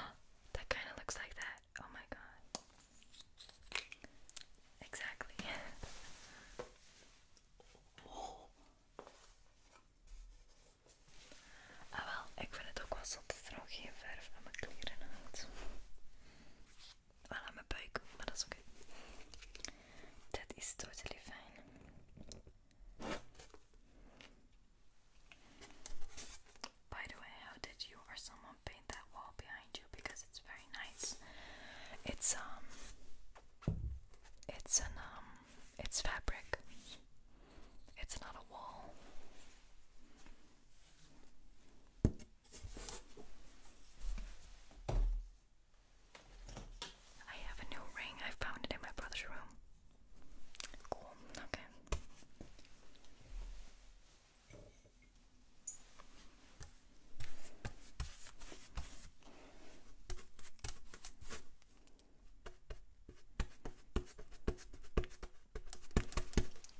kind of looks like that. Oh my god. Exactly. Ah wel, ik vind het ook wel zo dat er nog geen verf aan mijn kleren hangt. Wel aan mijn buik, maar dat is oké. is totally fine. By the way, how did you or someone paint that wall behind you? Because it's very nice. It's um, it's a um, It's fabric. It's not a wall. I have a new ring. I found it in my brother's room. Cool. Okay.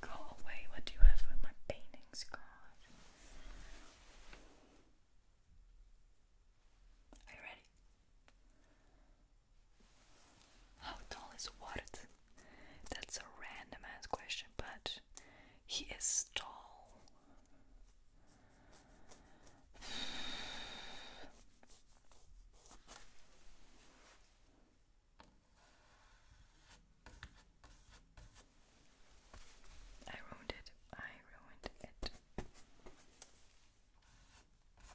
Go away, what do you have with my paintings, God? Are you ready? How tall is Wart? That's a random ass question, but he is tall. I ruined it. I ruined it.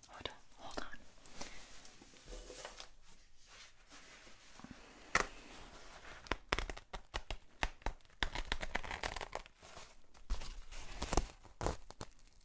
Hold on, hold on.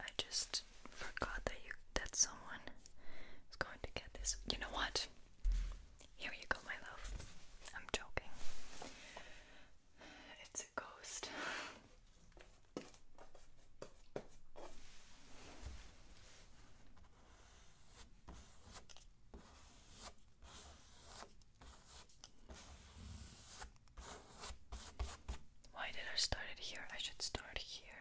I just forgot that you that someone is going to get this. You know what? Here you go, my love. I'm joking. It's a ghost. Why did I start it here? I should start here.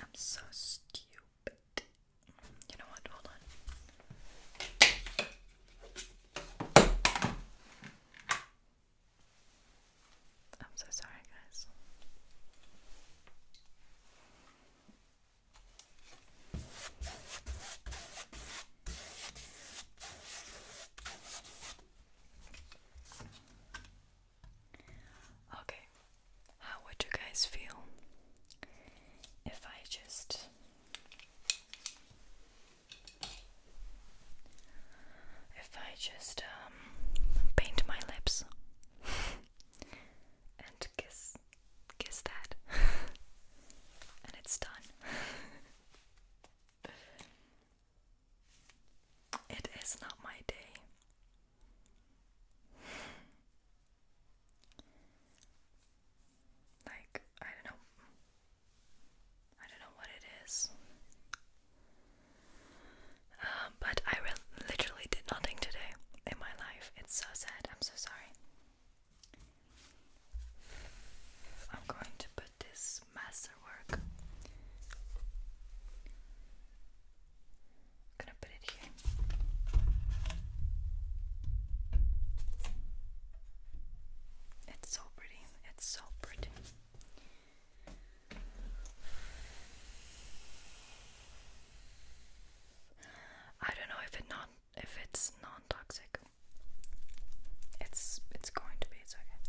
I'm so stupid. You know what? Hold on. I'm so sorry, guys. Okay, how would you guys feel if I just if I just um, paint my lips and kiss kiss that and it's done. it is not my day. Like, I don't know. I don't know what it is. Um, but I literally did nothing today in my life. It's so sad. I'm so sorry. I'm going to put this masterwork. I'm gonna put it here. It's so pretty. It's so pretty. I don't know if it not if it's non-toxic. It's it's going to be it's okay.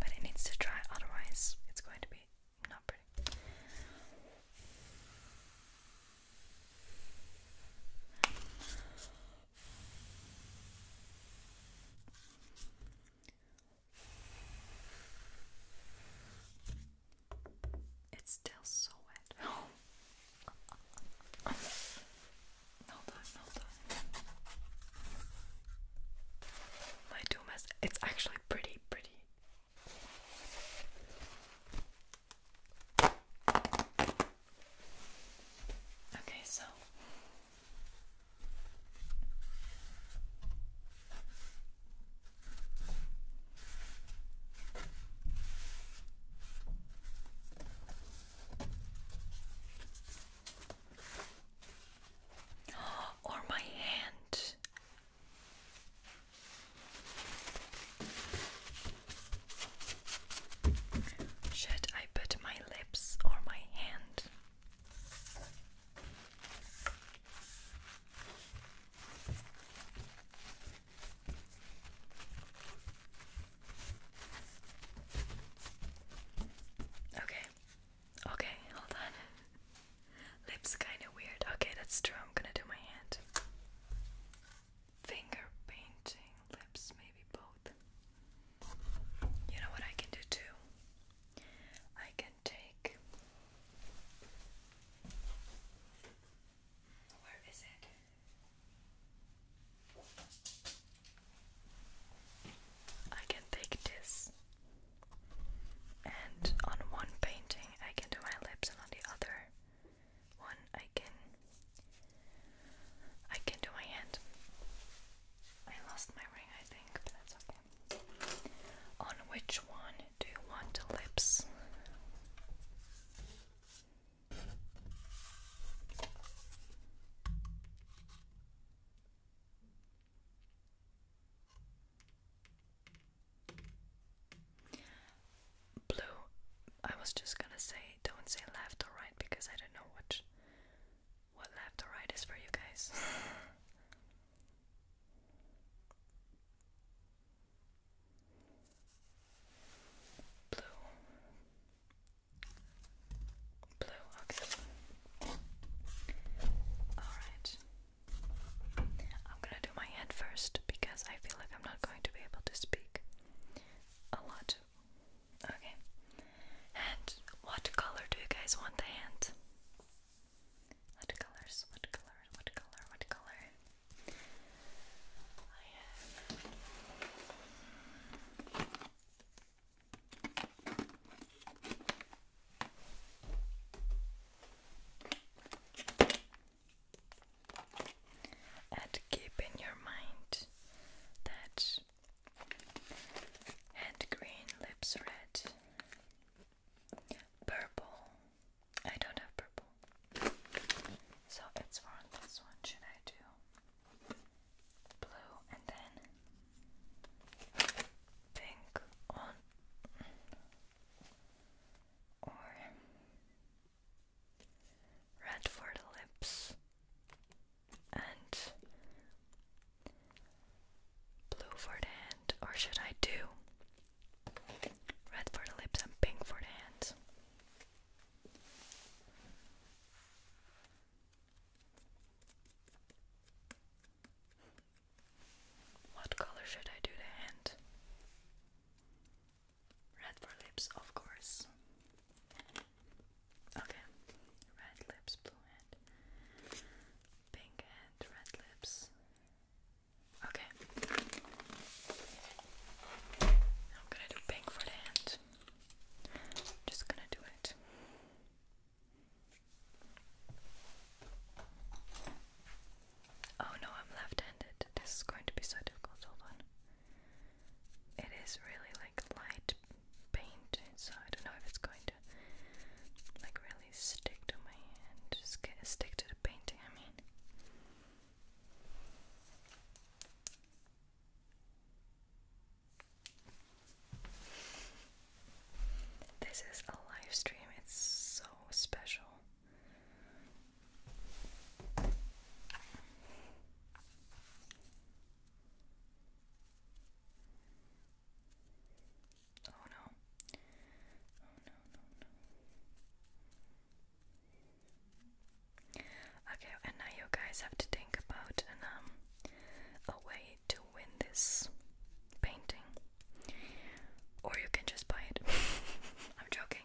But it needs to dry otherwise it's going to be not pretty. It's still so wet. Hold on, hold on. My doom is it's actually pretty pretty. Okay, so or my hand. Should I put my lips or my hand? Okay. Okay, hold on. Lips kind of weird. Okay, that's true. I'm gonna do my hand. Finger painting, lips, maybe both mouth. You know what I can do too? I can take. Where is it? I can take this, and on one painting I can do my lips, and on the other one I can I can do my hand. I lost my ring, I think, but that's okay. On which one do you want the lips? Blue. I was just gonna say, don't say left or right because I don't know what what left or right is for you guys. Blue. Blue, okay. Alright. I'm gonna do my head first because I feel like I'm not going to be able to speak a lot Okay. And what color do you guys want the hand? What colors? What color? What color? What color? And keep in your mind that and green, lips red. Purple. I don't have purple. So it's for this one. Should I do blue and then pink or red for the lips and blue for the hand, or should I do red for the lips and pink for the hands? What color should I do the hand? Red for lips, of course. Okay. Red lips, blue hand. Pink hand, red lips. Okay. I'm gonna do pink for the hand. Just gonna do it. Oh no, I'm left handed. This is going to be so difficult. Hold on. It is really like light paint, so I don't know if it's going to like really stick to my hand, just get, stick to the painting, I mean. This is a live stream, it's so special. Oh no. Oh no, no, Okay, and now you guys have to think about an, um, a way to win this painting. Or you can just buy it. I'm joking.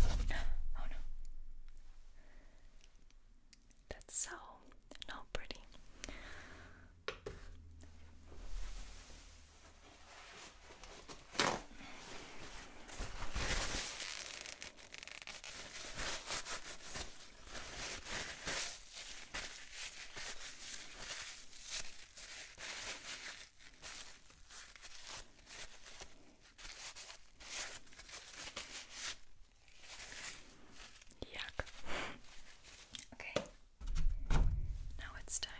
Oh no. That's so not pretty. Yuck. Okay. Now it's time.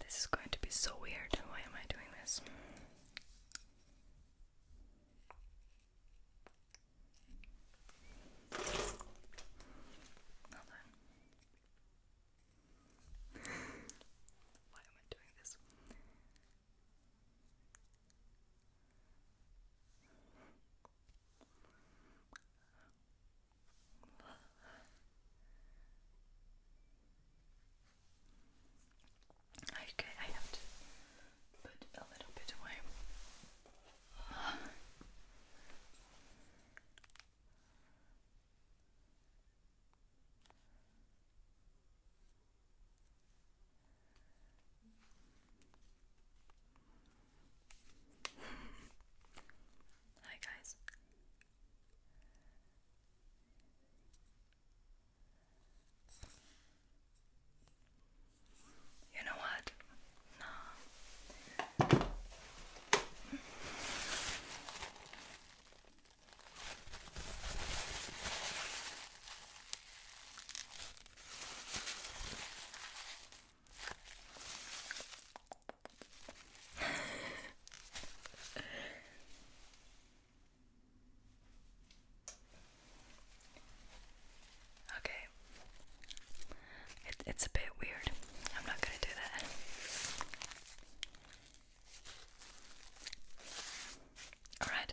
This is going to be so weird. Why am I doing this? Hold on. Why am I doing this? Okay, I have to put a little bit away. Hi guys, you know what? No okay. it's a bit weird. I'm not going to do that. All right.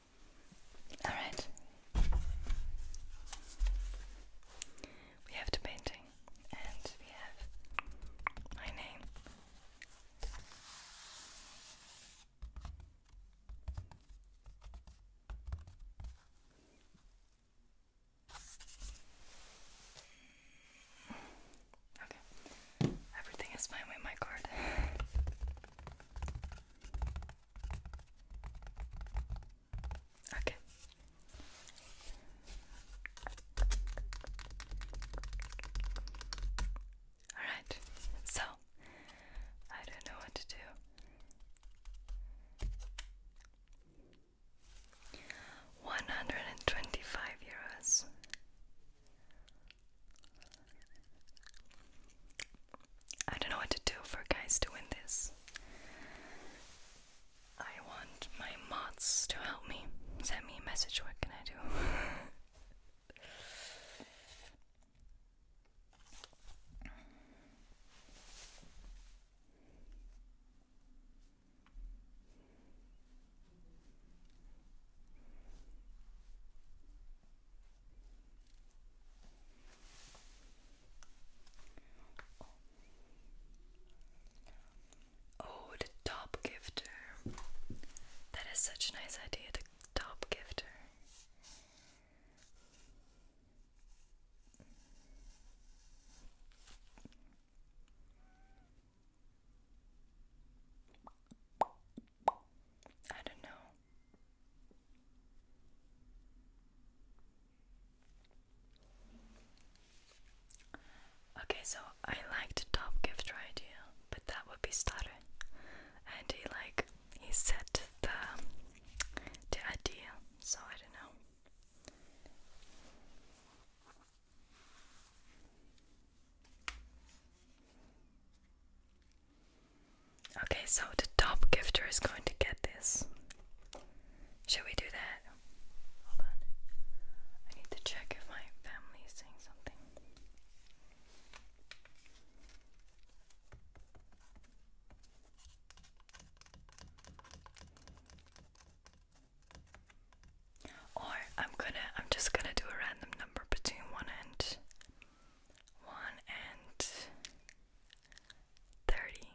Alright. We have the painting and we have my name. Okay. Everything is fine with my card. Okay. All right. So, I don't know what to do. One hundred and twenty five euros. I don't know what to do for guys doing this. I want my mods to help me. Send me a message, what can I do? Oh, the top gifter. That is such a nice idea, the top gifter. I don't know. Okay, so I like top gift idea, but that would be starter. And he like he said the the idea, so I don't know. Okay, so the top gifter is going to get this. Should we do that? Hold on. I need to check if my family is saying something. Or I'm gonna I'm just gonna do a random number between one and 1 and 30.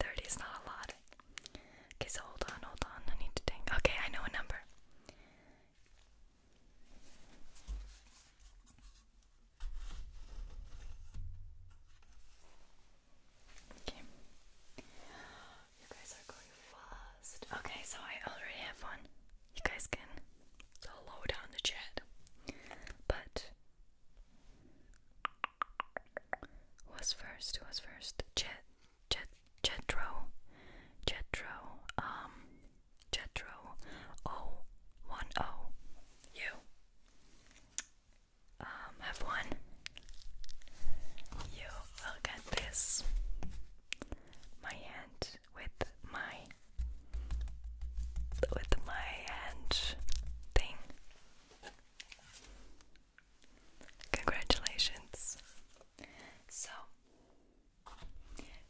30 is not a lot. Okay, so hold on, hold on. I need to think. Okay, I know a number. Okay. You guys are going fast. Okay, so I already have one you guys can slow down the chat. But was first? Was first? Jet, Jet, Jetro, Jetro, um, Jetro, O, oh, one O, oh, you, um, have one. You will get this. My hand with my with my hand thing. Congratulations. So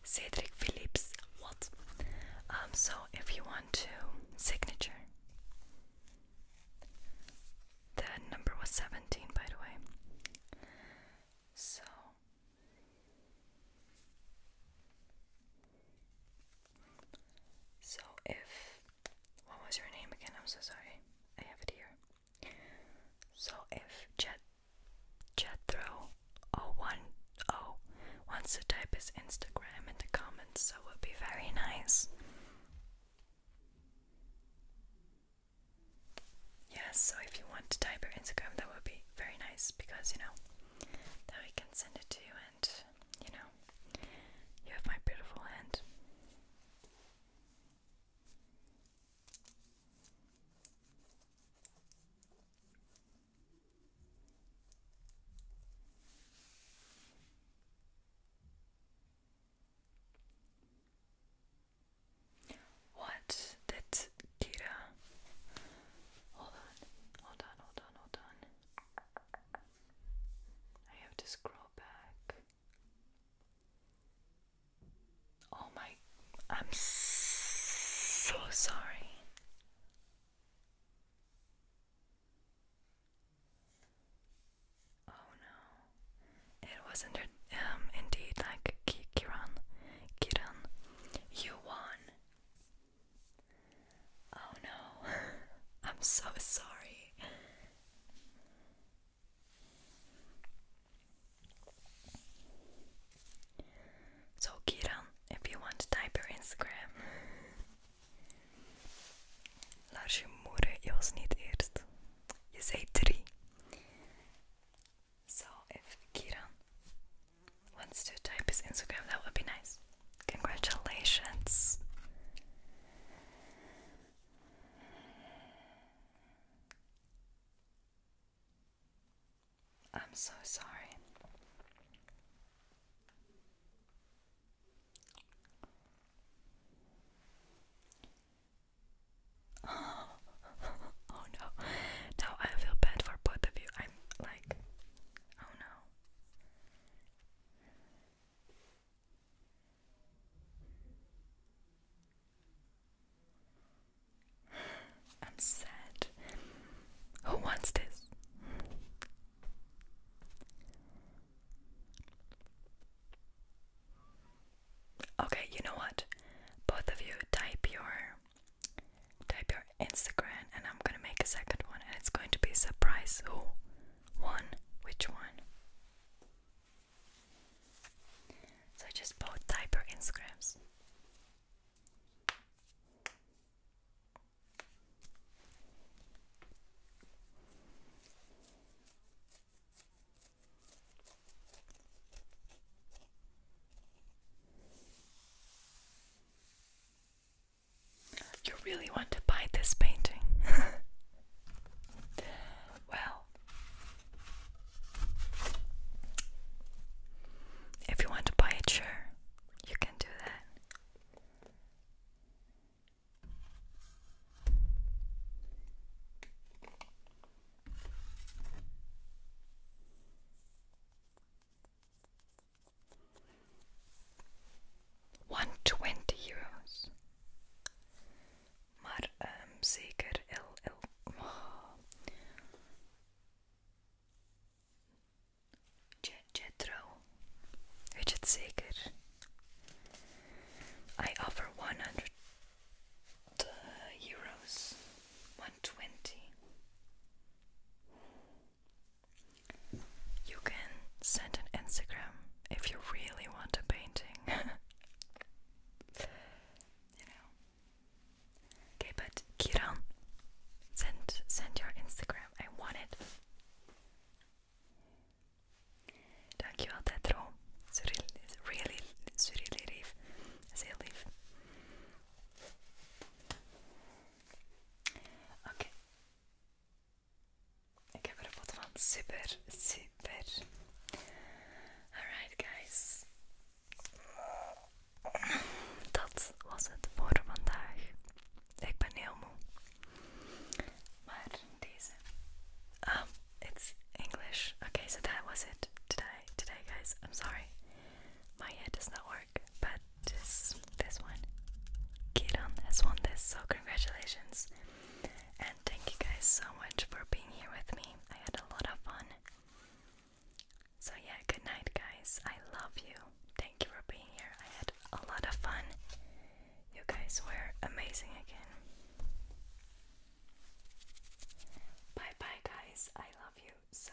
Cedric Phillips, what? Um, so if you want to signature the number was 17 by the way. So so, if what was your name again? I'm so sorry, I have it here. So, if Jet Jethro 010 wants type his Instagram in the comments, that would be very nice. Yes, so if you want to type your Instagram, that would be very nice because you know that we can send it to you, and you know, you have my beautiful hand. What did Tira. Hold on, hold on, hold on, hold on. I have to scroll back. Oh my, I'm so sorry. Oh no, it was under, um, indeed like Kiran. Kiran, you won. Oh no, I'm so sorry. So, Kiran, if you want to type your Instagram. Laat je moeder jos niet eerst. Je zei drie. So, if Kiran wants to type his Instagram, that would be nice. Congratulations. I'm so sorry. oh no. Now I feel bad for both of you. I'm like Oh no. I'm sad. Who wants this? Okay, you know what? Both of you type your type your Instagram, and I'm gonna make a second one, and it's going to be a surprise who won which one. So just both type your Instagrams. You really want to buy this painting? well, if you want to buy it, sure, you can do that. 120 euros. Maar um, zeker LL. Oh. Jetro. Weet je het zeker? I offer 100 eh, euros. 120. You can send an Instagram if you really want a painting. you know. Okay, but Kiran, send send your Instagram. I want it. Dankjewel Tetro. Really, really leave. As I Ok. Ik heb er wat van. Super, super. Alright, guys. Dat was het voor vandaag. Ik ben heel moe. Maar deze. Um, it's English. Okay, so that was it today. Today, guys. I'm sorry. My head does not work but this this one, get on this This so congratulations, and thank you guys so much for being here with me. I had a lot of fun. So yeah, good night, guys. I love you. Thank you for being here. I had a lot of fun. You guys were amazing again. Bye bye, guys. I love you so.